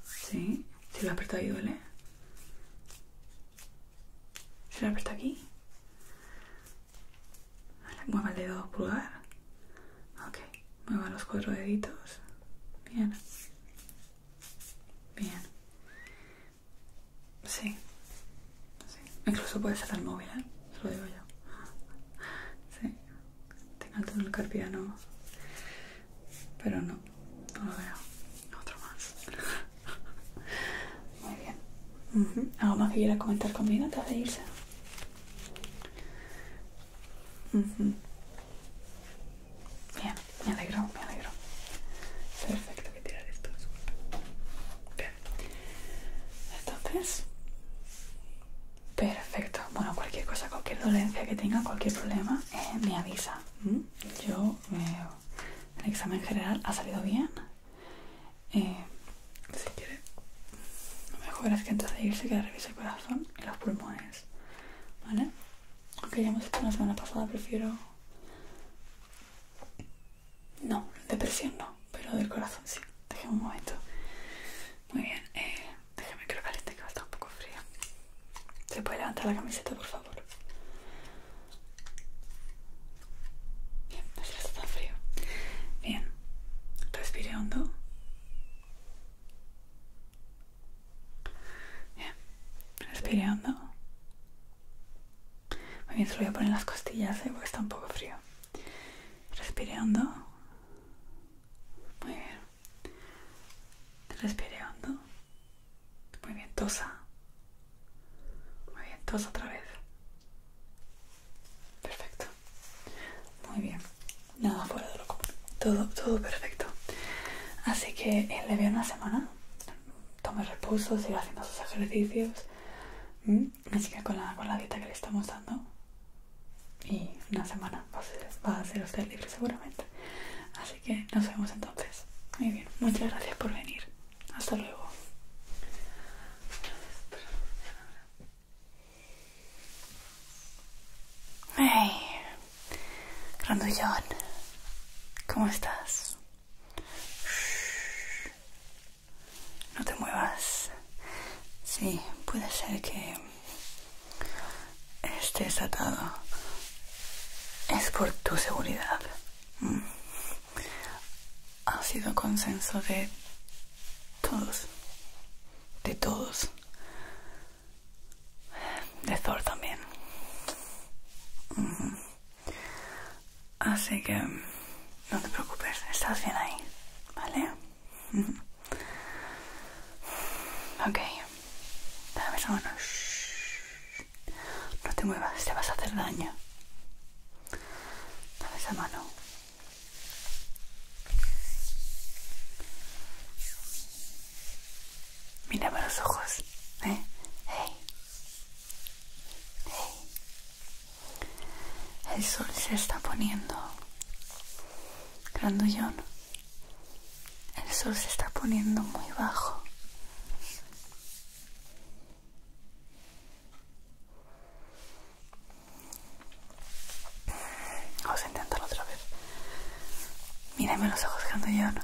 ¿Sí? Si lo aprieto ahí duele. Si lo aprieto aquí. Vale, mueva el dedo pulgar. Ok, mueva los cuatro deditos. Bien. Bien. Sí, Incluso puedes hacer el móvil, ¿eh? Se lo digo yo. Sí. Tengo el carpiano. Pero no, no lo veo. Otro más. Muy bien. ¿Algo más que quieras comentar conmigo antes de irse? Bien, me alegro, me alegro. Perfecto que tirar esto, entonces perfecto bueno cualquier cosa cualquier dolencia que tenga cualquier problema eh, me avisa ¿Mm? yo eh, el examen general ha salido bien eh, si quiere lo mejor es que antes de irse que revise el corazón y los pulmones vale aunque ya hemos hecho la semana pasada prefiero no, depresión no, pero del corazón sí. Dejen un momento. Muy bien, eh, déjame que lo que va a estar un poco frío. ¿Se puede levantar la camiseta, por favor? Bien, no se está tan frío. Bien, respire hondo. Bien, respire hondo. Muy bien, se lo voy a poner en las costillas, ¿eh? porque está un poco frío. Respire Muy bien. Respire Muy bien, tosa. Muy bien, tosa otra vez. Perfecto. Muy bien. Nada fuera de lo común. Todo, todo perfecto. Así que eh, le veo una semana. Tome reposo, sigue haciendo sus ejercicios. ¿Mm? Así que con la, con la dieta que le estamos dando y una semana va a, ser, usted libre seguramente. Así que nos vemos entonces. Muy bien, muchas gracias por venir. Hasta luego. Hey, grandullón, ¿cómo estás? No te muevas. Sí, puede ser que estés atado. Es por tu seguridad. Mm. Ha sido consenso de todos. De todos. De Thor también. Mm. Así que no te preocupes, estás bien ahí, ¿vale? ok, dame esa mano. No te muevas, te vas a hacer daño. Dame esa mano. Mírame los ojos, ¿eh? El sol se está poniendo. Grandullón. El sol se está poniendo muy bajo. Vamos a intentarlo otra vez. Mírame los ojos, Grandullón.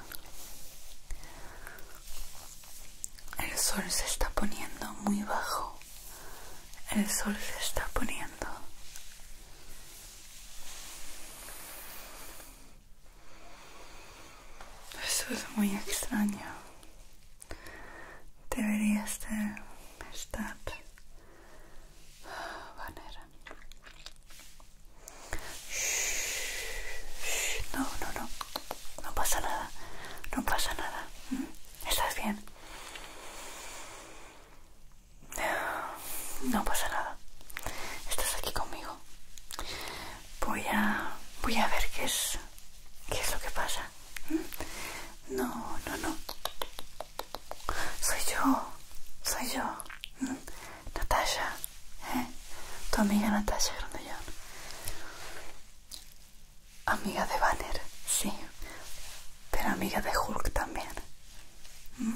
El sol se está poniendo muy bajo el sol se está poniendo. Eso es muy extraño. Deberías de estar vanera. Ah, no, no, no. No pasa nada. No pasa nada. Mm, ¿Estás bien? No pasa nada. Estás aquí conmigo. Voy a, voy a ver qué es, qué es lo que pasa. ¿Mm? No, no, no. Soy yo, soy yo. ¿Mm? Natasha, ¿eh? tu amiga Natasha yo. Amiga de Banner, sí. Pero amiga de Hulk también. Mm.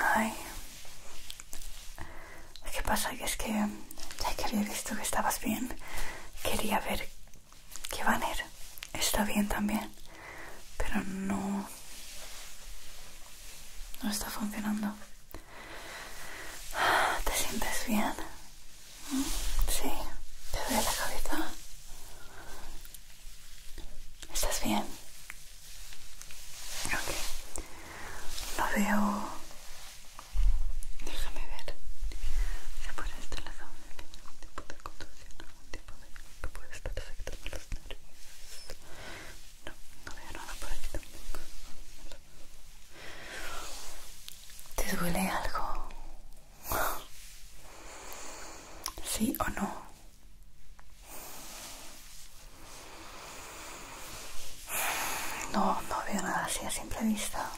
Ay Ay. qué que pasa es que ya que había visto que estabas bien, quería ver que Banner está bien también. Pero no... No está funcionando. ¿Te sientes bien? Sí, te duele la cabeza. ¿Estás bien? Ok. No veo... Déjame ver. ¿Se puede estar en la zona tiene algún tipo de conducción, algún tipo de... que puede estar afectando los nervios. No, no veo nada por aquí tampoco. ¿Te duele algo? ¿Sí o no? No, no veo nada así a simple vista.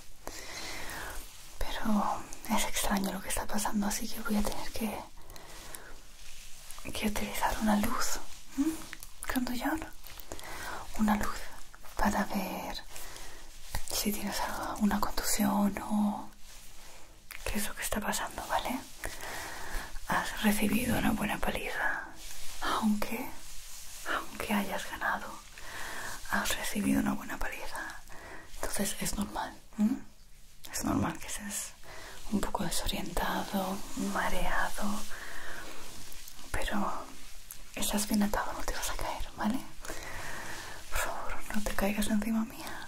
Pero es extraño lo que está pasando, así que voy a tener que, que utilizar una luz. ¿Cuándo Cuando una luz para ver si tienes una contusión o qué es lo que está pasando, ¿vale? Has recibido una buena paliza, aunque, aunque hayas ganado, has recibido una buena paliza. Entonces es normal, es normal que seas un poco desorientado, mareado, pero Estás bien atado, no te vas a caer, ¿vale? Por favor, no te caigas encima mía.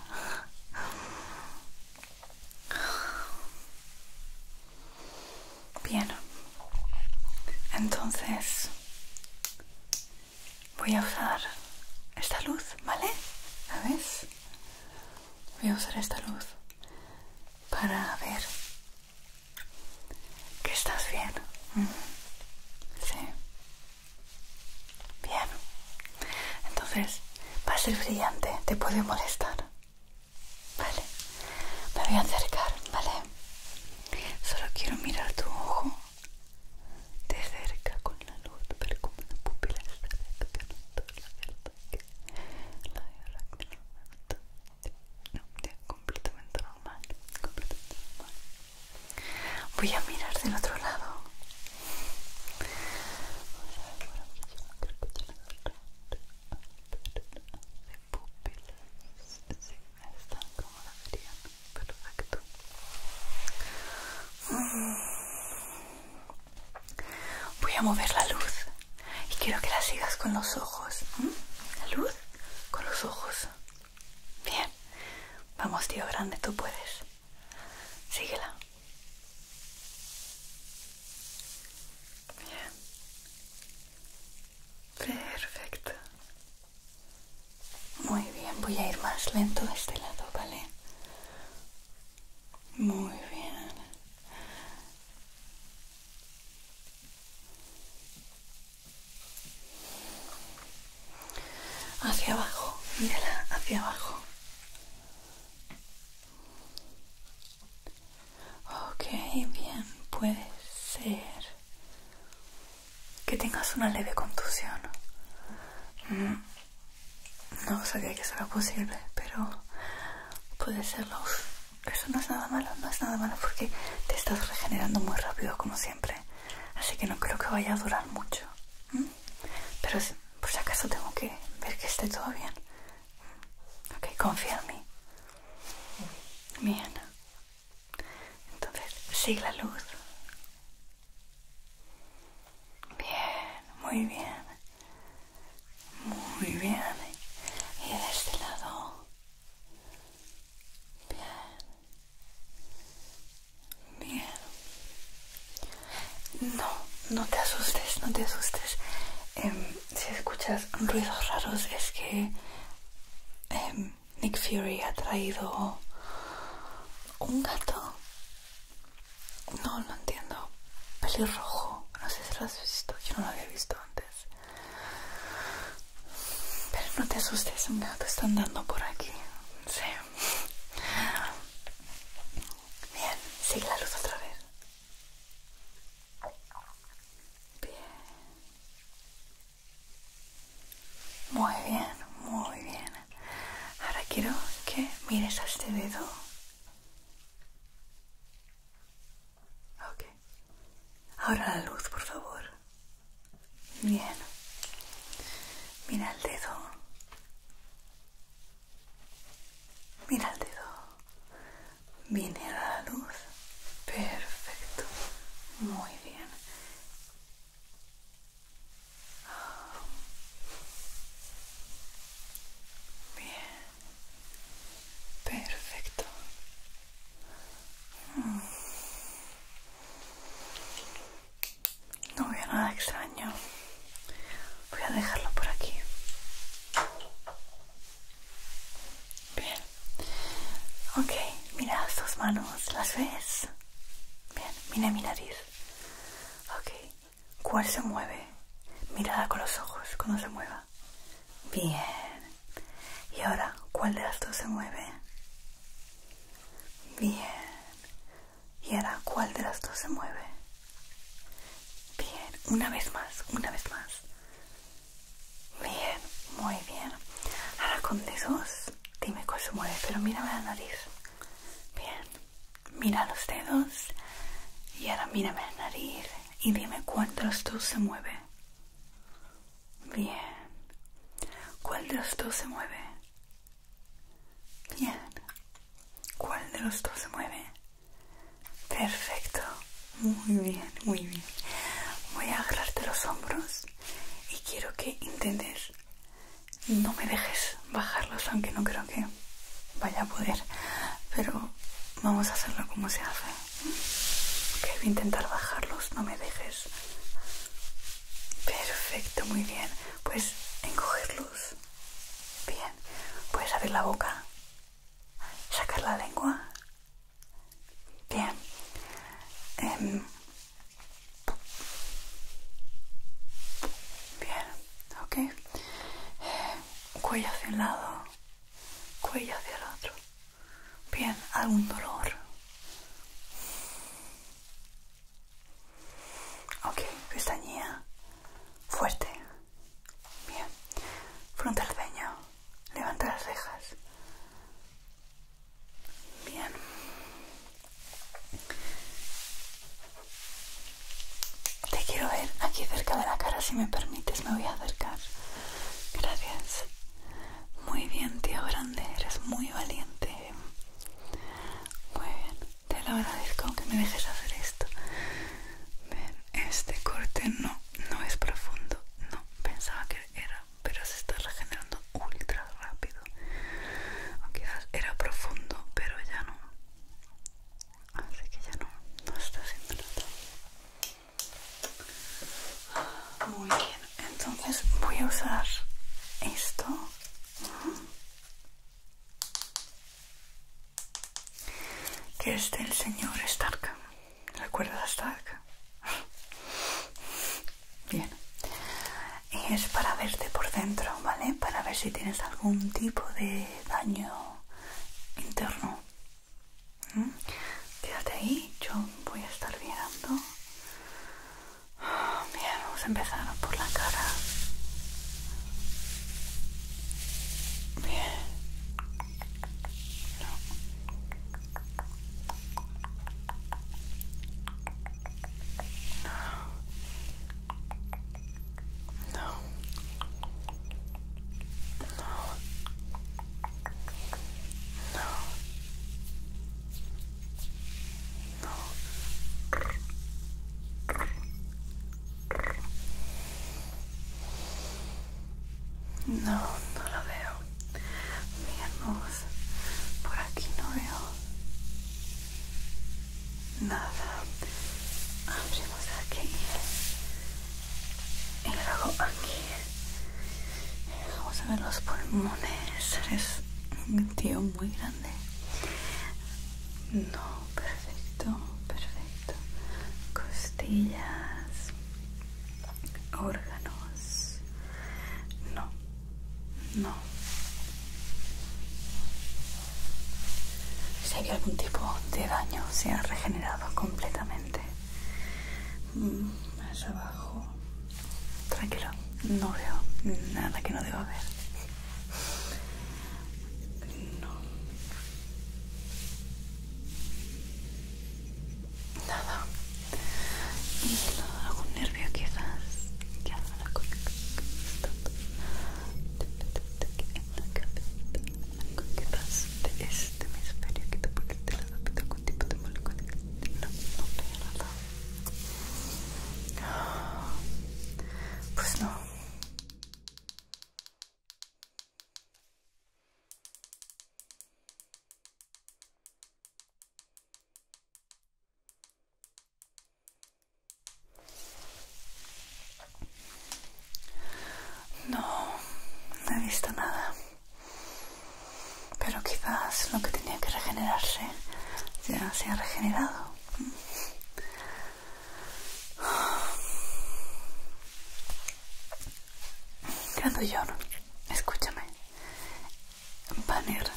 Bien. Entonces voy a usar esta luz, ¿vale? A ves? Voy a usar esta luz para ver ¿Que estás bien? Sí. Bien. Entonces, va a ser brillante, te puede molestar. Vale. Me voy a acercar, ¿vale? Solo quiero mirar tu ojo de cerca con la luz, pero como la pupila está abierta, que no no, ya, completamente normal, completamente normal. Voy a mirar del otro lado. Vamos a De pupilas, sí, está. como la verían, perfecto. Voy a mover la luz y quiero que la sigas con los ojos. ¿La luz? con los ojos. Bien. Vamos, tío grande, tú puedes. Síguela. Bien. Perfecto. Muy bien, voy a ir más lento de este lado, ¿vale? Muy bien hacia abajo, mira hacia abajo. Ok, bien, puede ser que tengas una leve contusión. Mm, no sabía que eso posible, pero puede serlo eso no es nada malo, no es nada malo porque te estás regenerando muy rápido como siempre. Así que no creo que vaya a durar mucho. Pero por si acaso tengo que ver que esté todo bien. Ok, confía en mí. Bien. Entonces, sigue la luz. Bien, muy bien. Muy bien. Y de este lado. Bien. No, no te asustes, no te asustes. Em, si escuchas ruidos raros es que em, Nick Fury ha traído un gato. No, no entiendo. Pelirrojo. No sé si lo has visto. Yo no lo había visto antes. Pero no te asustes, un te está andando por aquí. Sí. Bien, sigue la luz otra vez. Bien. Muy bien, muy bien. Ahora quiero que mires a este dedo. Ok. Ahora la luz, por favor. Bien. Mira el dedo. Mira el dedo. Viene la luz. Perfecto. Muy bien. Bien. Perfecto. No veo nada extraño. Voy a dejarlo por aquí. Bien. Ok, mira tus manos. ¿Las ves? Bien, mira mi nariz. Ok. ¿Cuál se mueve? Mirada con los ojos cuando se mueva. Bien. ¿Y ahora cuál de las dos se mueve? Bien. ¿Y ahora cuál de las dos se mueve? Bien. Una vez más, una vez más. Bien, muy bien. Ahora con dedos, dime cuál se mueve, pero mírame la nariz. Bien. Mira los dedos. Y ahora mírame la nariz y dime cuál de dos se mueve. Bien. ¿Cuál de los dos se mueve? Bien. ¿Cuál de los dos se mueve? Perfecto. Muy bien, muy bien. Voy a agarrarte los hombros y quiero que intentes no me dejes bajarlos, aunque no creo que vaya a poder. Pero vamos a hacerlo como se hace. Ok, voy a intentar bajarlos, no me dejes. Perfecto, muy bien. Pues encogerlos. Bien. Puedes abrir la boca. Sacar la lengua. Bien. Em. bien, ok. Em, cuello hacia un lado, cuello hacia el otro. Bien, algún dolor. Ok, pestañía. Fuerte. Bien. Fronte al peño. Levanta las cejas. Bien. Te quiero ver aquí cerca de la cara, si me permites, me voy a acercar. Gracias. Muy bien, tío grande, eres muy valiente. Muy bien, te lo agradezco que me dejes hacer esto. este corte no, no es profundo. No, pensaba que era, pero se está regenerando ultra rápido. O quizás era profundo, pero ya no. Así que ya no, no está haciendo nada. Muy bien, entonces voy a usar esto. Que es del señor Stark. ¿Recuerdas Stark? Bien. Y es para verte por dentro, ¿vale? Para ver si tienes algún tipo de daño interno. ¿Mm? Quédate ahí, yo voy a estar mirando. Bien, vamos a empezar por la cara. Bien. No. No. No. No, no, no lo veo. miren por aquí no veo nada. Abrimos aquí y luego aquí. Vamos a ver los pulmones. Eres un tío muy grande. No, perfecto, perfecto. Costillas, órganos. No, no. Si hay algún tipo de daño, se ha regenerado completamente. Mm, más abajo. Tranquilo, no veo nada que no deba ver. Nada. Algún nervio quizás. ¿Qué la Quizás de este hemisferio que te tipo de molécula. Pues no, no nada. Pues No, no he visto nada. Pero quizás lo que tenía que regenerarse ya se ha regenerado. Cuando yo? escúchame. Banner.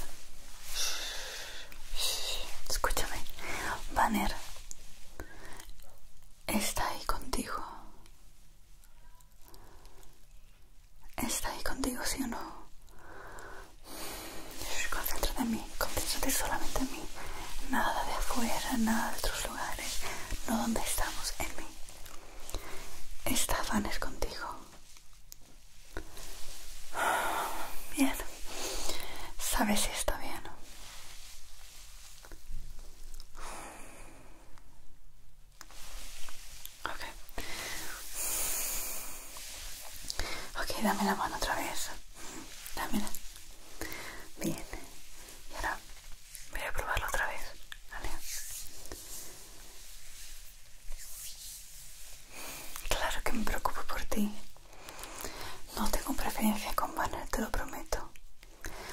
Escúchame. Banner. Está ahí contigo. Está ahí contigo, ¿sí o no? Concéntrate en mí, concéntrate solamente en mí. Nada de afuera, nada de otros lugares, no donde estamos, en mí. Esta es contigo. Bien. ¿Sabes si está bien? Ok. Ok, dame la mano otra vez. Dámela. Bien. Y ahora voy a probarlo otra vez. ¿Vale? Claro que me preocupo por ti. No tengo preferencia con Banner, te lo prometo.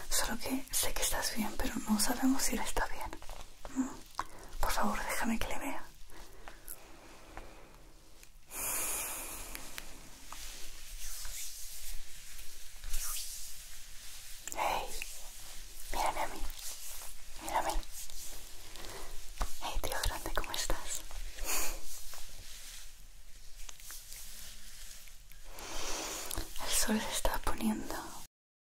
Solo que sé que estás bien, pero no sabemos si él está bien. Mm. Por favor, déjame que le vea. Hey, mírame a mí, mírame. Hey, tío grande, ¿cómo estás? El sol se está poniendo